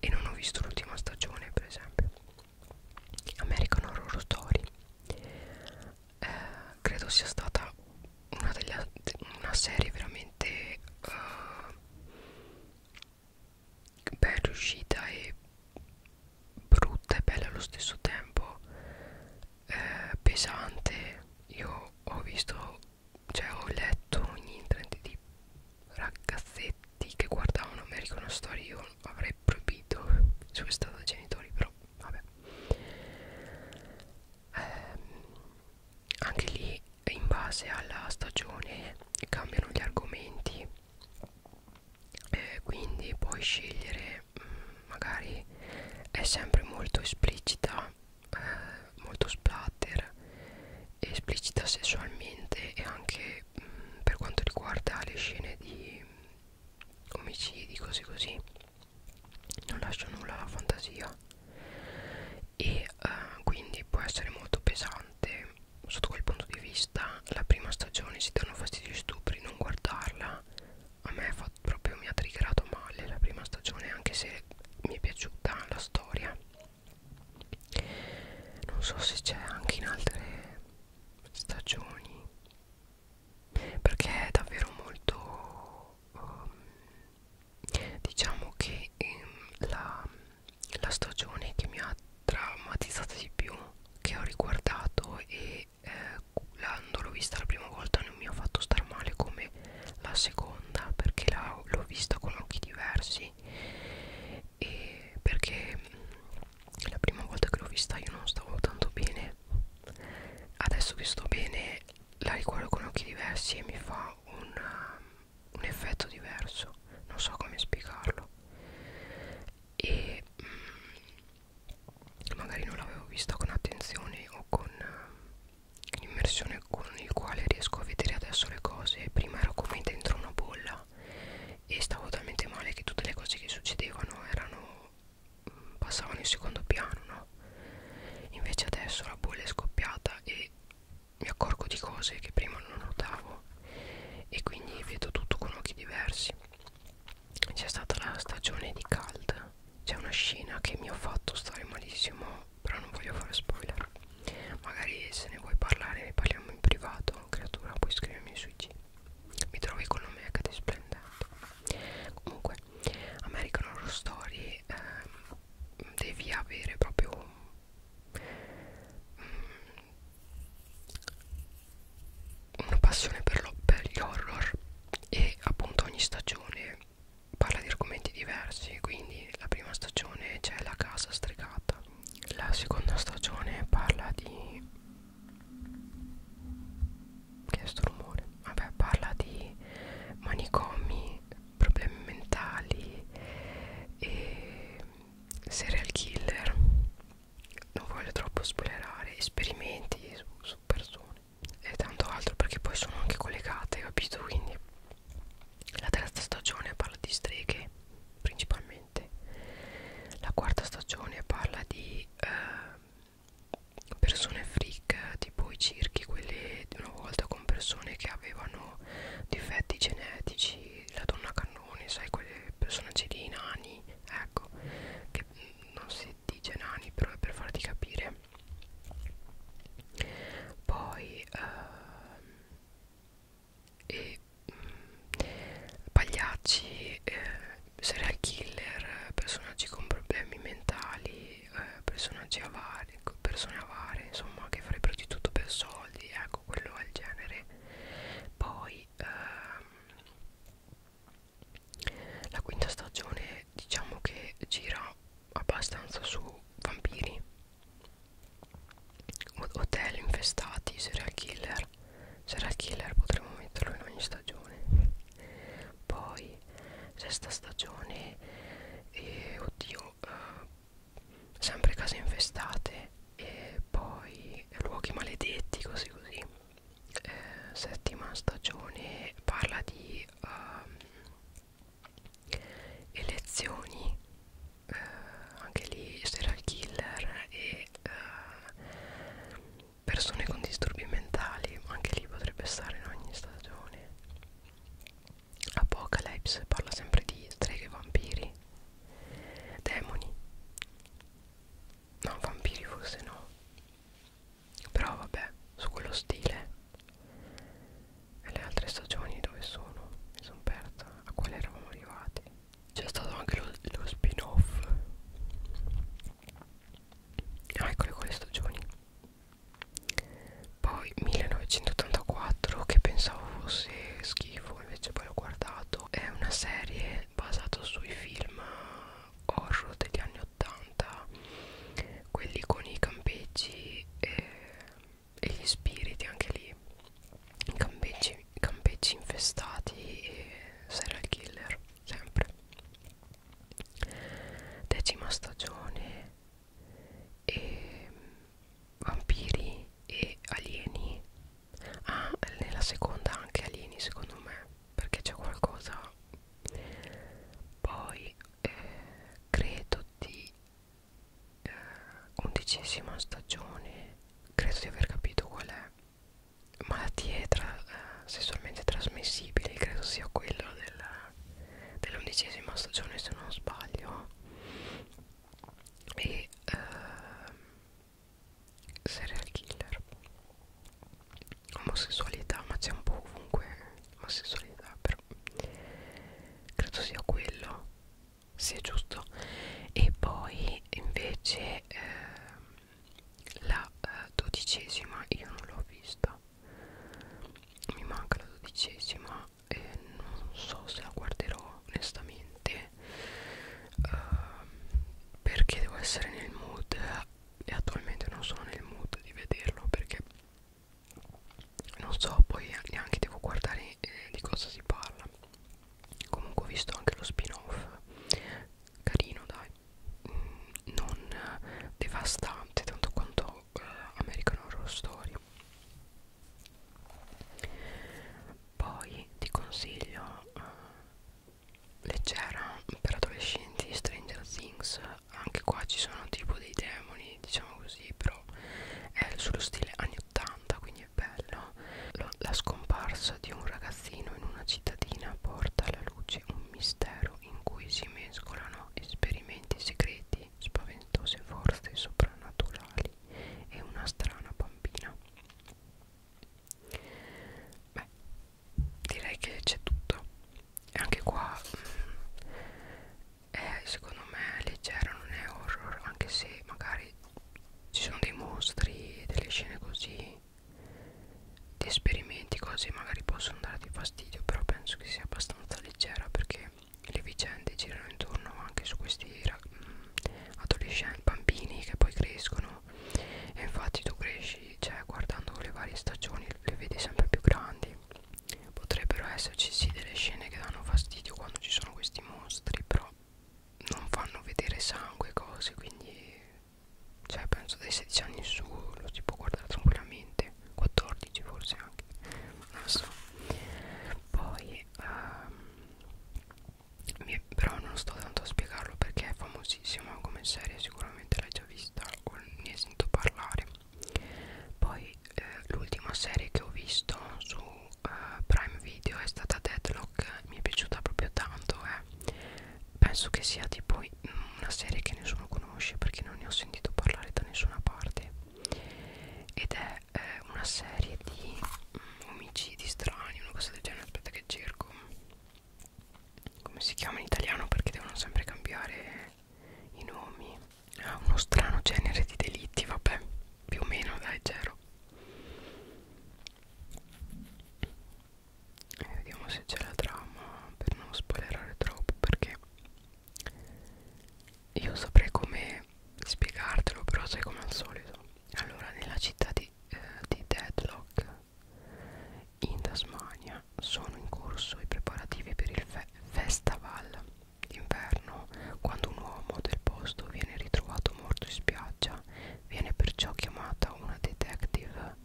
e non ho visto l'ultima stagione per esempio American Horror Story eh, credo sia stata una, delle, una serie veramente uh, beh riuscita e brutta e bella allo stesso tempo eh, pesante io ho visto cioè ho letto ogni internet di ragazzetti che guardavano American Story io avrei proibito sono stato dai genitori però vabbè ehm, anche lì in base alla stagione cambiano gli argomenti eh, quindi puoi scegliere mh, mm, magari è sempre molto esplicita eh, molto splatter esplicita sessualmente e anche mh, mm, per quanto riguarda le scene di mh, omicidi così così non lascia nulla alla fantasia e eh, quindi può essere molto pesante sotto quel punto di vista la prima stagione si danno fastidio stupri non guardarla a me fa, proprio mi ha triggerato male la prima stagione anche se mi è piaciuta la storia non so se c'è anche in altre stagioni perché è davvero molto um, diciamo che um, la la stagione che mi ha traumatizzato di più che ho riguardato e eh, quando l'ho vista la prima volta non mi ha fatto star male come la seconda perché l'ho vista con occhi diversi e perché mm, la prima volta che l'ho vista io non stavo tanto bene adesso che sto bene la riguardo con occhi diversi e mi fa un, un effetto diverso non so come spiegarlo e mh, mm, magari non l'avevo vista con attenzione o con uh, immersione con il quale riesco a vedere adesso le cose prima ero come dentro una bolla e stavo talmente male che tutte le cose che succedevano erano mh, mm, passavano in secondo piano no? invece adesso la bolla è scoppiata e mi accorgo di cose che prima non notavo e quindi vedo tutto con occhi diversi c'è stata la stagione di Cald c'è una scena che mi ha fatto stare malissimo però non voglio fare spoiler magari se ne vuoi parlare ne parliamo in privato creatura puoi scrivermi sui G mi trovi con un mega di splendente comunque American Horror Story eh, devi avere proprio Mm. una passione per, lo, per gli horror e appunto ogni stagione parla di argomenti diversi quindi la prima stagione c'è la casa stregata la seconda stagione parla di che è sto rumore vabbè parla di manicomi problemi mentali e serial killer non voglio troppo spoilerare esperimenti su, su persone e tanto altro perché poi sono anche collegate capito quindi la terza stagione parla di streghe principalmente la quarta stagione parla di eh, persone freak tipo i circhi quelle di una volta con persone che avevano difetti genetici la donna cannone sai quelle personaggi dei nani ecco che mm, non si dice nani però è per farti capire poi eh, e mh, mm, pagliacci eh, serial killer personaggi con problemi mentali eh, personaggi avari persone avare insomma che farebbero di tutto per soldi eh, ecco quello è il genere poi ehm, la quinta stagione diciamo che gira abbastanza su vampiri hotel infestati serial killer serial killer potremmo metterlo in ogni stagione poi sesta stagione e oddio eh, sempre case infestate e poi luoghi maledetti così così eh, settima stagione parla di uh, elezioni eh, anche lì serial killer e uh, persone con disturbi mentali anche lì potrebbe stare in ogni stagione Apocalypse parla sempre di streghe e vampiri demoni no vampiri forse no però vabbè su quello stile e le altre stagioni dove sono mi sono persa a quale eravamo arrivati c'è stato anche lo, lo spin off ah, eccole quelle stagioni poi 1984 che pensavo fosse schifo Wonderful invece poi ho guardato è una serie basata sui film horror degli anni 80 quelli con i campeggi e, e gli spiriti anche lì campeggi, campeggi infestati e serial killer sempre decima stagione e vampiri e alieni ah nella seconda anche alieni secondo me perché c'è qualcosa poi eh, credo di eh, undicesima stagione credo di aver capito qual è malattie tra, eh, sessualmente trasmissibili credo sia quello dell'undicesima dell stagione se non sbaglio e eh, serial killer omosessualità ma c'è un po' ovunque omosessualità però credo sia quello sì è giusto e poi invece eh, la eh, dodicesima io non l'ho vista mi manca la dodicesima e non so se la guarderò onestamente uh, perché devo essere nel mood e attualmente non sono nel mood di vederlo perché non so poi neanche devo guardare eh, di cosa si parla comunque ho visto anche lo spin off carino dai mm, non devastante tanto quanto eh, American Horror Story poi ti consiglio uh, leggera per adolescenti Stranger Things anche qua ci sono tipo dei demoni diciamo così però è sullo stile anni 80 quindi è bello Lo, la scomparsa di un ragazzino in una cittadina porta alla luce un mistero in cui si mescolano esperimenti segreti spaventose forze soprannaturali e una strana bambina Beh, direi che c'è tutto. E anche qua mh, mm, è secondo me leggero, non è horror, anche se magari ci sono dei mostri, delle scene così, di esperimenti, cose magari possono darti fastidio, però penso che sia abbastanza leggera perché le vicende girano intorno anche su questi mh, mm, adolescenti, bambini che poi crescono e infatti tu cresci, cioè guardando le varie stagioni le vedi sempre più grandi potrebbero esserci sì delle scene che danno fastidio quando ci sono questi mostri però non fanno vedere sangue cose quindi cioè penso dai 16 anni in su lo si può guardare tranquillamente 14 forse anche non so poi um, mi, però non sto tanto a spiegarlo perché è famosissima come serie sicuramente l'hai già vista o ne hai sentito parlare poi eh, l'ultima serie che ho visto su eh, Prime Video è stata Deadlock mi è piaciuta proprio tanto eh. penso che sia tipo una serie che nessuno conosce perché non ne ho sentito parlare da nessuna parte ed è eh, una serie di mm, omicidi strani, una cosa del genere, aspetta che cerco come si chiama in italiano perché devono sempre cambiare i nomi ah, uno strano genere di delitti, vabbè, più o meno dai, zero e eh, vediamo se c'è la trama per non spoilerare troppo perché io saprei come spiegartelo però sai come al solito allora nella città di, eh, di Deadlock in Tasmania sono in corso i preparativi per il fe festival d'inverno quando un uomo del posto viene ritrovato morto in spiaggia viene perciò chiamata una detective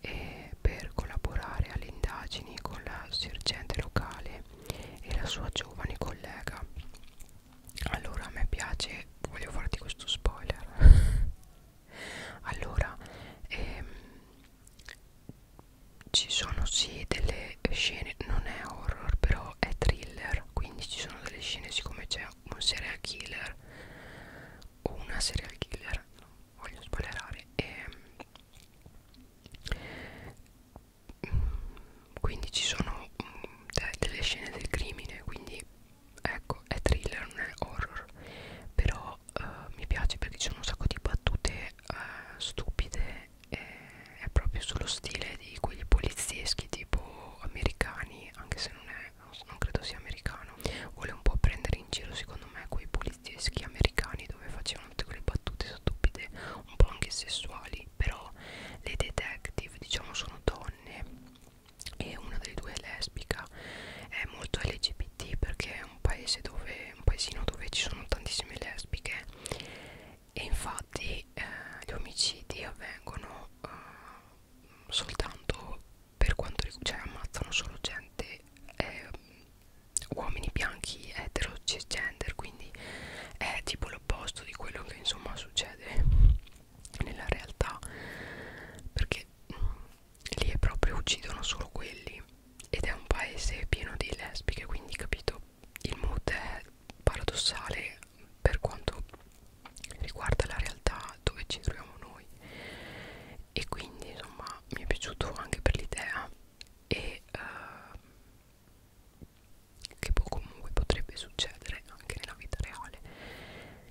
e per collaborare alle indagini con la sergente locale e la sua giovane collega allora a me piace voglio farti questo spoiler allora ehm, ci sono sì delle scene non è horror però è thriller quindi ci sono delle scene siccome c'è un serial killer o una serial killer no, voglio spoilerare ehm, quindi ci sono mm, de delle scene del crimine quindi ecco è thriller non è horror però eh, mi piace perché ci sono un sacco di battute eh, stupide e è proprio sullo stile di quelli polizieschi tipo americani anche se non è non credo sia americano vuole un po' prendere in giro secondo me quei polizieschi americani dove facevano tutte quelle battute stupide un po' anche sessuali però le detective diciamo sono donne e una delle due è lesbica è molto LGBT perché è un paese dove un paesino dove ci sono tantissime lesbiche e infatti eh, gli omicidi avvengono eh, soltanto per quanto cioè ammazzano solo gente eh, uomini bianchi etero cisgender quindi è tipo l'opposto di quello che insomma succede nella realtà perché mm, lì è proprio uccidono solo quelli ed è un paese pieno di lesbiche quindi capito il mood è paradossale per quanto riguarda la realtà dove ci troviamo noi e quindi insomma mi è piaciuto anche per l'idea e uh, che può, comunque potrebbe succedere anche nella vita reale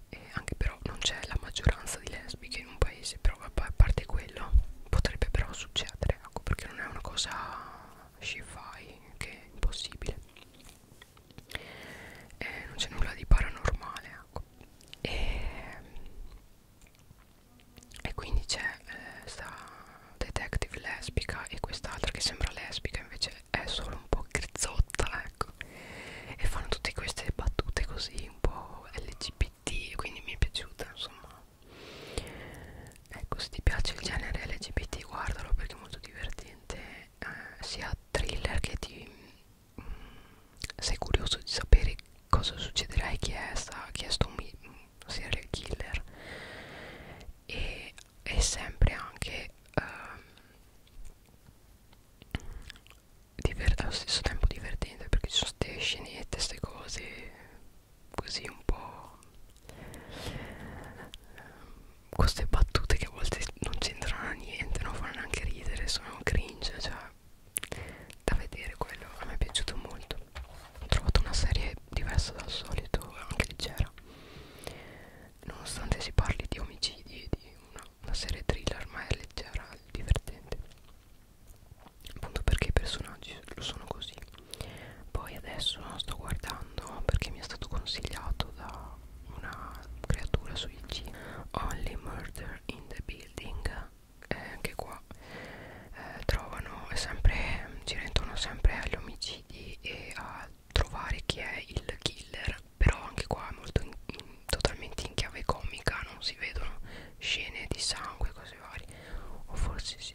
e anche però non c'è la maggioranza di lesbiche in un paese però vabbè, a parte quello potrebbe però succedere ecco perché non è una cosa sci-fi che è impossibile eh, non c'è nulla di paranormale ecco e, e quindi c'è eh, sta detective lesbica e quest'altra che sembra lesbica invece è solo un po' grezzotta ecco e fanno tutte queste battute così un po' LGBT quindi mi è piaciuta insomma ecco se ti piace il genere LGBT guardalo perché è molto divertente eh, sia thriller che ti mh, mm, sei curioso di sapere cosa succederà e chi è sta chi è sto serial killer e è sempre anche um, allo stesso tempo divertente perché ci sono queste scenette, queste cose così un po' um, queste battute che a volte non c'entrano niente, non fanno neanche ridere, sono cringe, cioè da vedere quello a me è piaciuto molto ho trovato una serie diversa dal solito anche leggera nonostante si parli di omicidi e di una, una serie thriller ma è leggera e divertente appunto perché i personaggi lo sono così poi adesso sto guardando perché mi è stato consigliato da una creatura su IG Only Murder in the Building eh, anche qua eh, trovano sempre, gira intorno sempre agli omicidi e a trovare chi è il killer però anche qua è molto in, in, totalmente in chiave comica non si vedono scene di sangue cose varie o forse sì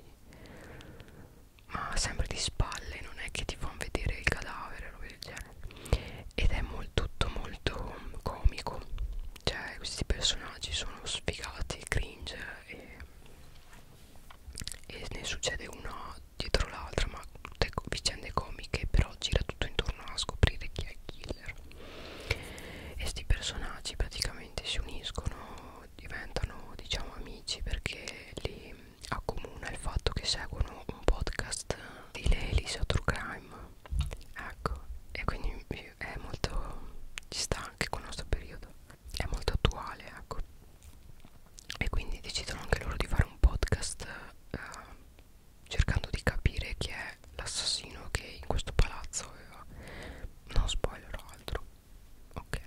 ma sempre di spalle non è che ti fanno vedere il cadavere roba del genere ed è molto, tutto molto comico cioè questi personaggi sono sfigati cringe e, e ne succede una dietro l'altra ma tutte vicende comiche però gira tutto intorno a scoprire chi è il killer e sti personaggi praticamente si uniscono diventano diciamo amici perché li accomuna il fatto che seguono un podcast di Lelisa True Crime ecco e quindi è molto ci sta anche con il nostro periodo è molto attuale ecco e quindi decidono anche loro di fare un podcast eh, cercando di capire chi è l'assassino che in questo palazzo aveva no spoiler o altro ok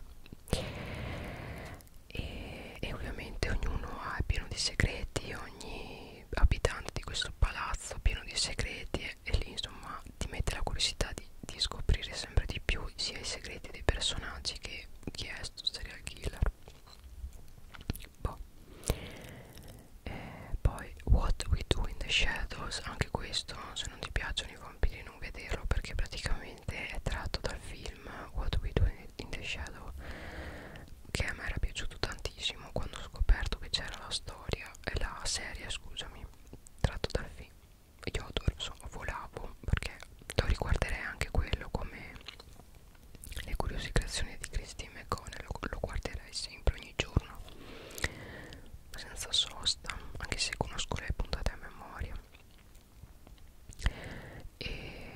e, e ovviamente ognuno ha, è pieno di segreti ogni abitante di questo palazzo è pieno di segreti e, e lì insomma ti mette la curiosità di, di scoprire sempre di più sia i segreti dei personaggi che chi è sto serial killer boh. eh, poi What We Do in the Shadows anche questo se non ti piacciono i vampiri non vederlo perché praticamente è tratto dal film What We Do in the Shadow che a me era piaciuto tantissimo quando ho scoperto che c'era la storia e eh, la serie scusami tratto dal film io adoro, so, volavo perché lo riguarderei anche quello come le curiose creazioni di Christine McConnell lo, lo guarderei sempre ogni giorno senza sosta anche se conosco le puntate a memoria e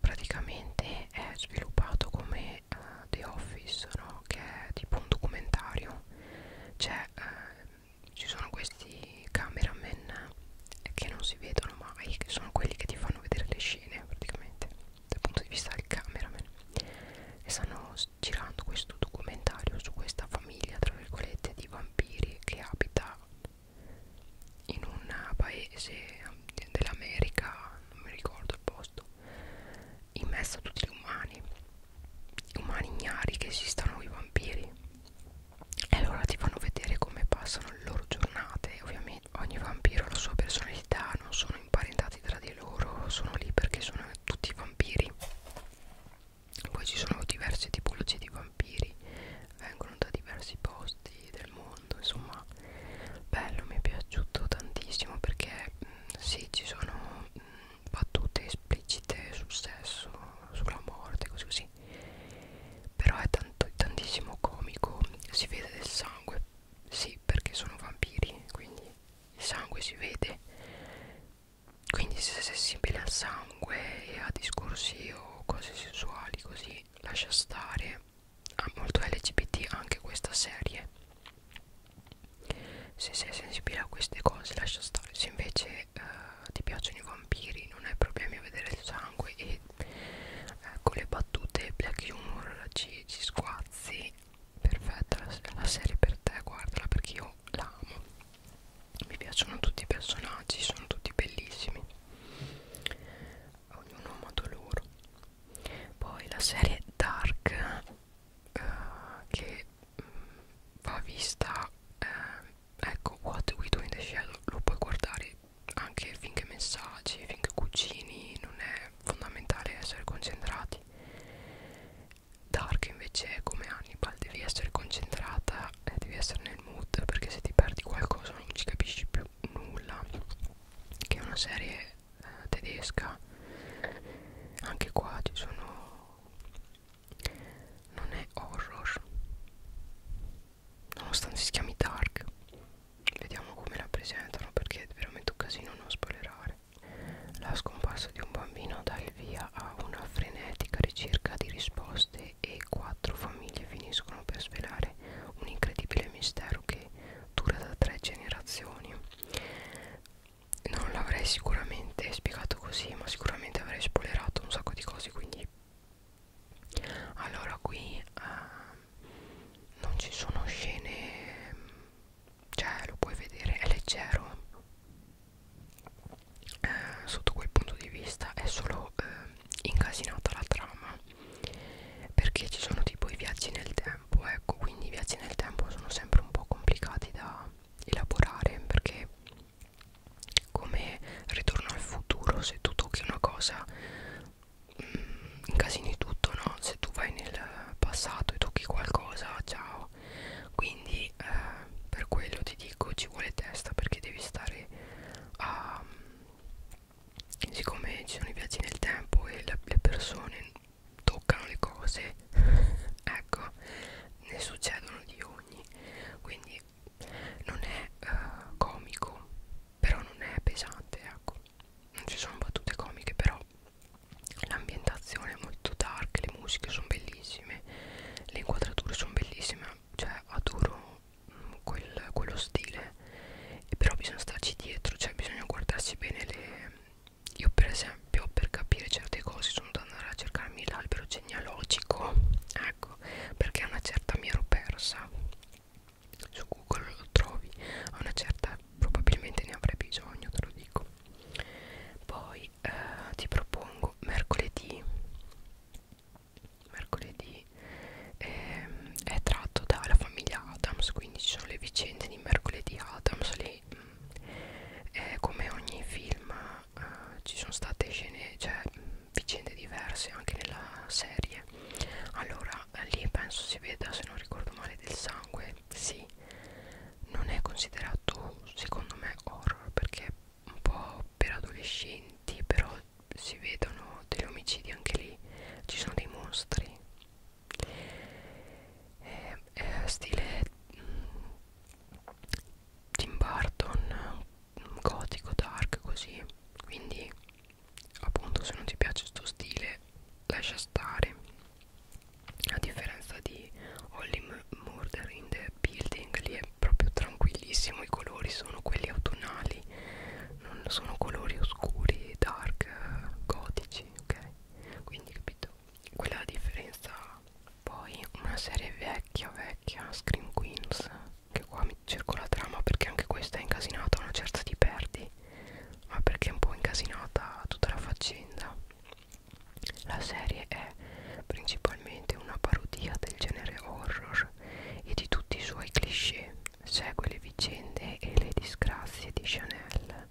praticamente è sviluppato come uh, The Office no? che è tipo un documentario c'è uh, ci sono questi cameraman che non si vedono mai che sono quelli che ti fanno vedere le scene praticamente dal punto di vista del cameraman e stanno girando questo documentario su questa famiglia tra virgolette di vampiri che abita in un paese um, dell'America non mi ricordo il posto in mezzo a tutti gli umani umani ignari che esistano i vampiri e allora ti fanno vedere come passano le loro giornate ovviamente ogni vampiro ha la sua personalità non sono imparentati tra di loro sono lì perché sono tutti vampiri poi ci sono diverse tipologie di vampiri vengono da diversi posti del mondo insomma bello mi è piaciuto tantissimo perché mh, mm, sì ci sono mh, mm, battute esplicite sul sesso sulla morte così così però è tanto, tantissimo comico si vede del sangue sì perché sono vampiri quindi il sangue si vede quindi se sei sensibile al sangue e a discorsi o cose sessuali così lascia stare ha molto lgbt anche questa serie se sei sensibile a queste cose lascia stare se invece se eh, ti piacciono i vampiri non hai problemi a vedere il sangue e eh, con le battute black humor ci, ci squazzi perfetta la, la serie per te guardala perché io la amo mi piacciono tutti i personaggi sono tutti bellissimi ognuno amato loro poi la serie Dark eh, che mh, mm, va vista eh, ecco What We Do in the Shadow lo puoi guardare anche finché messaggi, finché cucini, non è fondamentale essere concentrati. Dark invece come Hannibal devi essere concentrata e eh, devi essere nel mood perché se ti perdi qualcosa non ci capisci più nulla. Che è una serie eh, tedesca. Anche qua ci sono non è horror nonostante si chiami Dark vediamo come la presentano perché è veramente un casino non spoilerare la scomparsa di un bambino dà il via a una frenetica ricerca di risposte e quattro famiglie finiscono per svelare un incredibile mistero che dura da tre generazioni non l'avrei sicuramente spiegato così ma sicuramente avrei spoilerato un sacco di cose quindi allora qui eh, non ci sono scene cioè lo puoi vedere è leggero eh, sotto quel punto di vista è solo eh, incasinata la trama perché ci sono tipo i viaggi nel tempo ecco quindi i viaggi nel tempo sono sempre un po' complicati da elaborare perché come ritorno al futuro se tu tocchi una cosa mh, mm, incasini tutto no se tu vai nel passato e tocchi qualcosa ciao quindi eh, per quello ti dico ci vuole testa perché devi stare a siccome ci sono i viaggi nel tempo e la, le persone toccano le cose ecco ne succedono di ogni quindi non è uh, comico però non è pesante ecco non ci sono battute comiche però l'ambientazione è molto dark le musiche sono bellissime le inquadrature sono bellissime cioè adoro mh, mm, quel, quello stile e però bisogna starci dietro cioè bisogna guardarsi bene le io per esempio per capire certe cose sono da andare a cercarmi l'albero genealogico eh, ecco perché una certa mi ero persa su Google lo trovi a una certa probabilmente ne avrai bisogno te lo dico poi eh, ti propongo mercoledì mercoledì ehm, è tratto dalla famiglia Adams quindi ci sono le vicende di mercoledì Adams lì eh, mm, come ogni film eh, ci sono state scene, cioè vicende diverse anche nella serie allora eh, lì penso si veda se non ricordo male del sangue sì non è considerato secondo me horror perché è un po' per adolescenti però si vedono degli omicidi anche lì ci sono dei mostri è, eh, è eh, stile mh, mm, Tim Burton gotico dark così quindi appunto se non ti piace sto stile lascia stare a differenza di Holly Murder in the Building lì è proprio tranquillissimo i colori sono quelli autunnali non sono colori oscuri dark gotici ok quindi capito quella è la differenza poi una serie vecchia vecchia Scream Queens che qua mi cerco la trama perché anche questa è incasinata una certa ti perdi ma perché è un po' incasinata tutta la faccenda la serie è principalmente una parodia del genere horror e di tutti i suoi cliché segue le vicende e le disgrazie di Chanel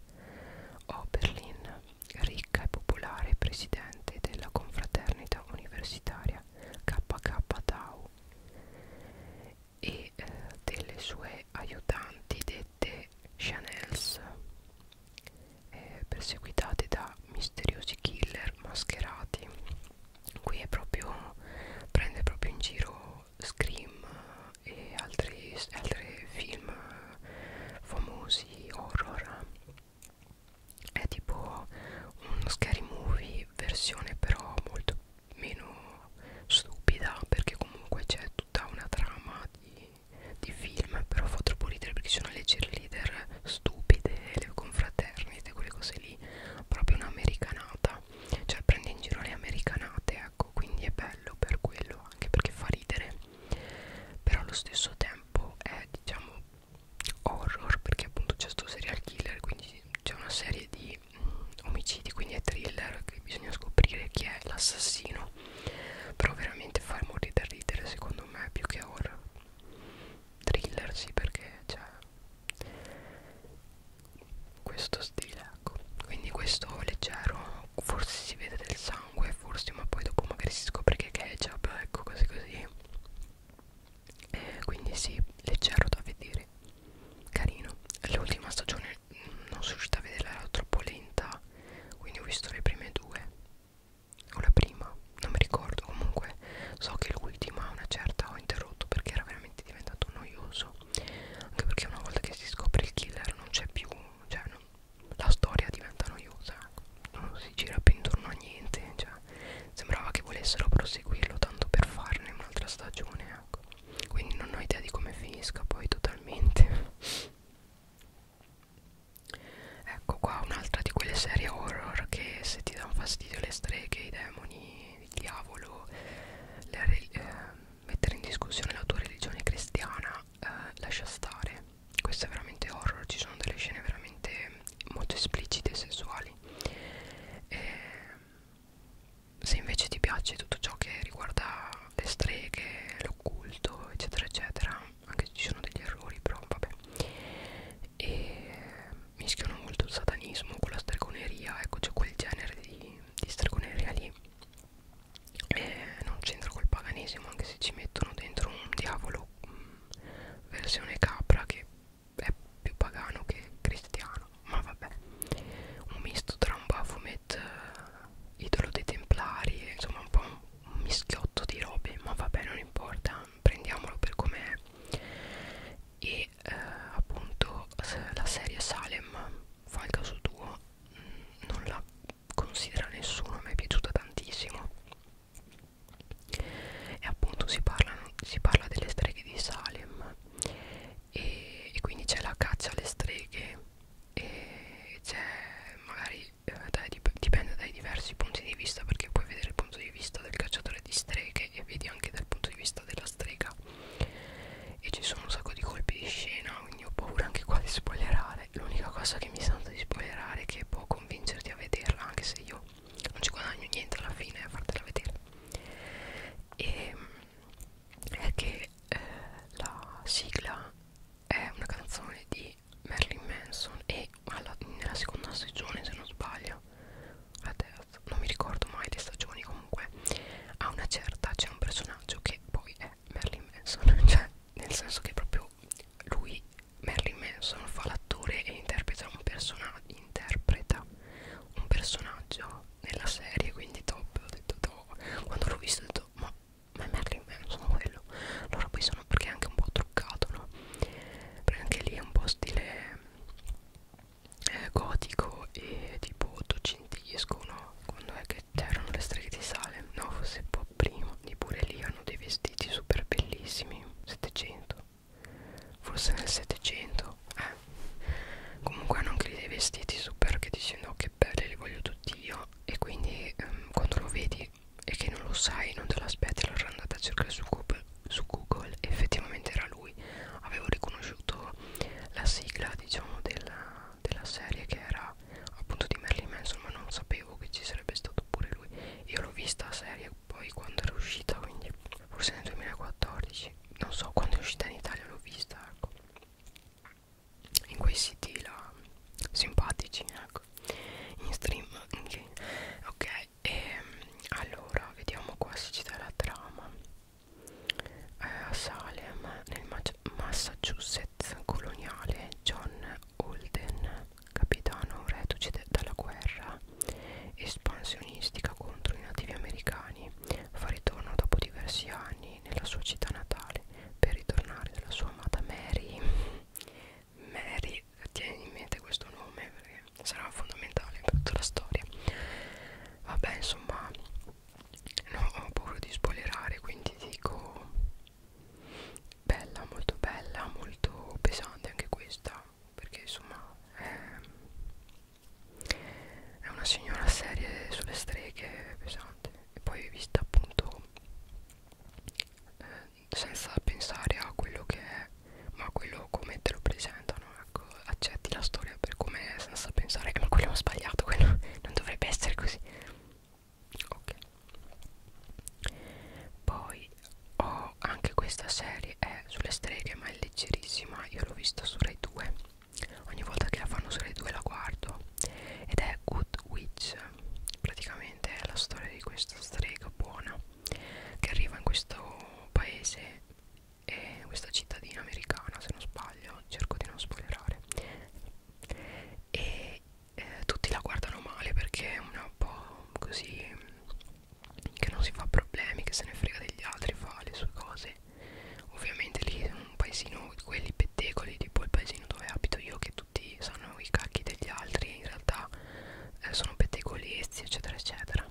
Oberlin ricca e popolare presidente della confraternita universitaria KK Tau e eh, delle sue aiutanti dette Chanels eh, perseguitate da misteriosi killer mascherati qui è proprio prende proprio in giro Scream e altri, altri film famosi horror è tipo uno scary movie versione però molto meno stupida perché comunque c'è tutta una trama di, di film però fa troppo ridere perché ci sono le cheerleader stupide le confraternite quelle cose lì proprio un'americanata cioè prende in giro le americanate ecco quindi è bello per quello anche perché fa ridere però allo stesso tempo è diciamo horror perché appunto c'è sto serial killer quindi c'è una serie di mh, mm, omicidi quindi è thriller che bisogna scoprire chi è l'assassino però veramente fa morire da ridere secondo me più che horror thriller sì perché c'è cioè, questo stile ecco quindi questo leggero forse si vede del sangue forse ma poi dopo magari si scopre che è ketchup ecco così così eh, quindi sì, leggero da vedere carino l'ultima stagione mm, non sono riuscita a vederla era troppo lenta quindi ho visto le prime due o la prima non mi ricordo comunque so che l'ultima una certa ho interrotto perché era veramente diventato noioso anche perché una volta che si scopre il killer non c'è più cioè non, la storia diventa noiosa non si gira più intorno a niente cioè ma sembrava che volessero proseguirlo tanto per farne un'altra stagione ecco. quindi non ho idea di come finisca poi totalmente ecco qua un'altra di quelle serie horror che se ti danno fastidio le streghe, i demoni, il diavolo le, eh, mettere in discussione la tua religione cristiana eh, lascia stare questo è veramente horror ci sono delle scene veramente molto esplicite e sessuali e eh, se invece ti piace tutto ciò che riguarda le streghe, l'occulto, eccetera, eccetera, anche se ci sono degli errori, però vabbè, e mischiano molto il satanismo con la stregoneria, ecco c'è quel genere di, di stregoneria lì, e non c'entra col paganesimo, anche se ci mettono dentro un diavolo mh, mm, versione capra che è più pagano che cristiano ma vabbè un misto tra un Baphomet uh, idolo dei templari insomma un po' un, un mischiotto di robe ma vabbè non importa prendiamolo per com'è e uh, appunto la serie Salem fa il caso tuo mm, non la considera nessuno mi è piaciuta tantissimo e appunto si, parlano, si parla delle streghe di Salem e, e quindi c'è la caccia alle streghe e c'è magari eh, dai, dipende dai diversi punti di vista perché puoi vedere il punto di vista del cacciatore di streghe e vedi anche dal punto di vista della strega e ci sono un sacco di colpi di scena quindi ho paura anche qua di spoilerare l'unica cosa che mi sento di spoilerare è che può convincerti a vederla anche se io non ci guadagno niente alla fine a fartela vedere e ehm, è che eh, la sigla è una canzone di Marilyn Manson e alla, nella seconda stagione se non sbaglio la terza non mi ricordo mai le stagioni comunque a una certa c'è un personaggio che poi è Marilyn Manson cioè nel senso che proprio lui Marilyn Manson fa l'attore e interpreta un personaggio interpreta un personaggio nella serie quindi top ho detto top quando l'ho visto ho detto ma, ma è Merlin Manson quello allora poi sono perché è anche un po' truccato no? perché anche lì è un po' stile eh, gotico e tipo ottocentesco no? quando è che c'erano le streghe di Salem no forse un po' prima e pure lì hanno dei vestiti super bellissimi 700 forse nel 700 eh. comunque hanno anche lì dei vestiti super che dici no oh, che belli li voglio tutti io e quindi ehm, quando lo vedi e che non lo sai non te l'aspetti allora andate a cercare su Google, su Google effettivamente era lui avevo riconosciuto la sigla diciamo della, della serie che era appunto di Merlin Manson ma non sapevo che ci sarebbe stato pure lui io l'ho vista a serie poi quando era uscita quindi forse nel 2014 non so quando è uscita in Italia l'ho vista ecco in quei siti là simpatici ecco in stream okay. ok e ehm, allora vediamo qua se ci dà la trama eh, a Salem nel Ma Massachusetts coloniale John Holden capitano reduce dalla guerra espansionistica contro i nativi americani fa ritorno dopo diversi anni nella sua città natale per ritornare nella sua amata Mary Mary, tieni in mente questo nome perché sarà fondamentale per tutta la storia vabbè insomma no, ho paura di spoilerare quindi dico bella, molto bella, molto pesante anche questa perché insomma è, è una signora serie sulle streghe pesante e poi vista appunto eh, senza pensare a quello che è ma quello come te lo presentano ecco accetti la storia per com'è senza pensare che eh, ma quello ho sbagliato quello non dovrebbe essere così ok poi ho anche questa serie è sulle streghe ma è leggerissima io l'ho vista su Rai 2 ogni volta che la fanno su Rai 2 la guardo ed è Good Witch praticamente è la storia di questa strega buona che arriva in questo paese e eh, in questa cittadina americana se non sbaglio cerco di non spoilerare e eh, tutti la guardano male perché è una po' così che non si fa problemi, che se ne frega degli altri, fa le sue cose. Ovviamente lì è un paesino, quelli pettegoli, tipo il paesino dove abito io, che tutti sanno i cacchi degli altri, in realtà eh, sono pettegolezzi, eccetera, eccetera.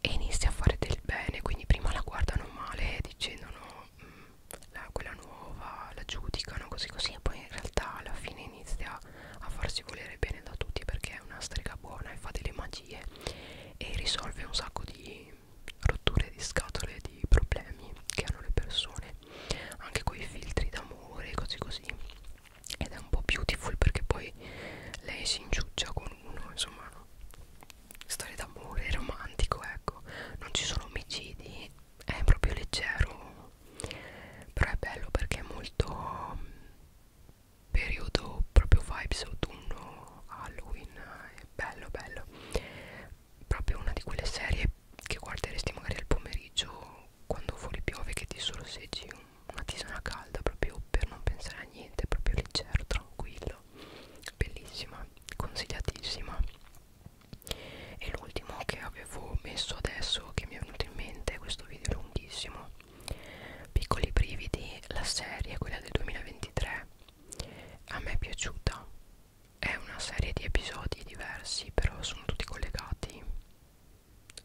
E inizia a fare del bene, quindi prima la guardano male dicendo no, mh, mm, la, quella nuova, la giudicano così così, e poi in realtà alla fine inizia a farsi volere bene da tutti perché è una strega buona e fa delle magie e risolve un sacco di rotture di scatole di problemi che hanno le persone anche con i filtri d'amore e cose così ed è un po' beautiful perché poi lei si inciuccia con uno insomma storia d'amore romantico ecco non ci sono omicidi è proprio leggero però è bello perché è molto periodo proprio vibes autunno Halloween eh, è bello bello proprio una di quelle serie che guarderesti magari al pomeriggio quando fuori piove che ti sorseggi una tisana calda proprio per non pensare a niente proprio leggero tranquillo bellissima consigliatissima e l'ultimo che avevo messo adesso che mi è venuto in mente questo video è lunghissimo Piccoli brividi, la serie, quella del 2023, a me è piaciuta. È una serie di episodi diversi, però sono tutti collegati.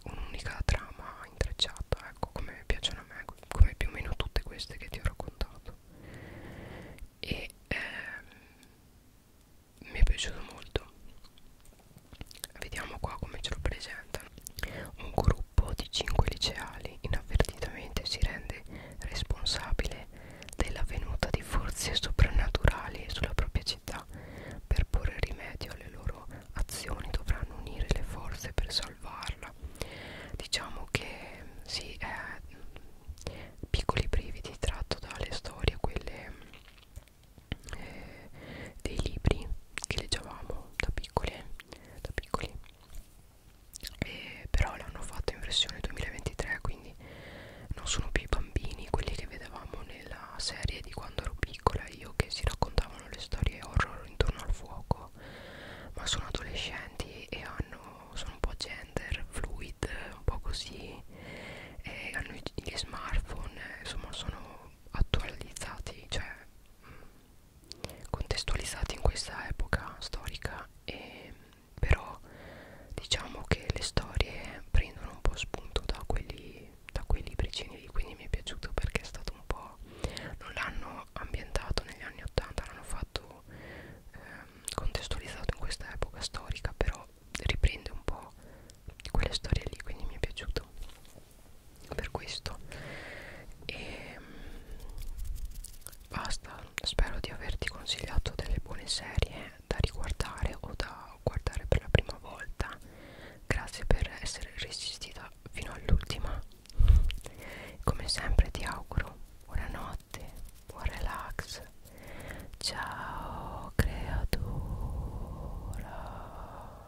Un'unica trama intrecciata, ecco, come piacciono a me, come più o meno tutte queste che ti ho raccontato. E ehm, mi è piaciuto molto. Vediamo qua come ce lo presentano. Un gruppo di 5 liceali inavvertitamente si rende responsabile dell'avvenuta di forze soprannaturali sulla propria città. Per porre rimedio alle loro azioni dovranno unire le forze per salvarla. Diciamo che sì, è mm, piccoli brividi tratto dalle storie, quelle eh, dei libri che leggevamo da piccole da piccoli e però l'hanno fatto in versione 2023 quindi non sono più i bambini quelli che vedevamo nella serie di quando ero piccola io che si raccontavano le storie horror intorno al fuoco ma sono adolescenti e hanno sono un po' gender fluid un po' così e hanno gli smartphone insomma sono attualizzati cioè contestualizzati in questa epoca storica e però diciamo che le storie prendono un po' spunto da quelli da quei libricini lì quindi mi è piaciuto perché è stato un po' non l'hanno ambientato negli anni 80 l'hanno fatto ehm, contestualizzato in questa epoca storica però riprende un po' quelle storie lì quindi mi è piaciuto per questo e mm, basta spero di averti consigliato delle buone serie da riguardare o da guardare per la prima volta grazie per essere resistita fino all'ultima come sempre ti auguro buonanotte buon relax ciao creatura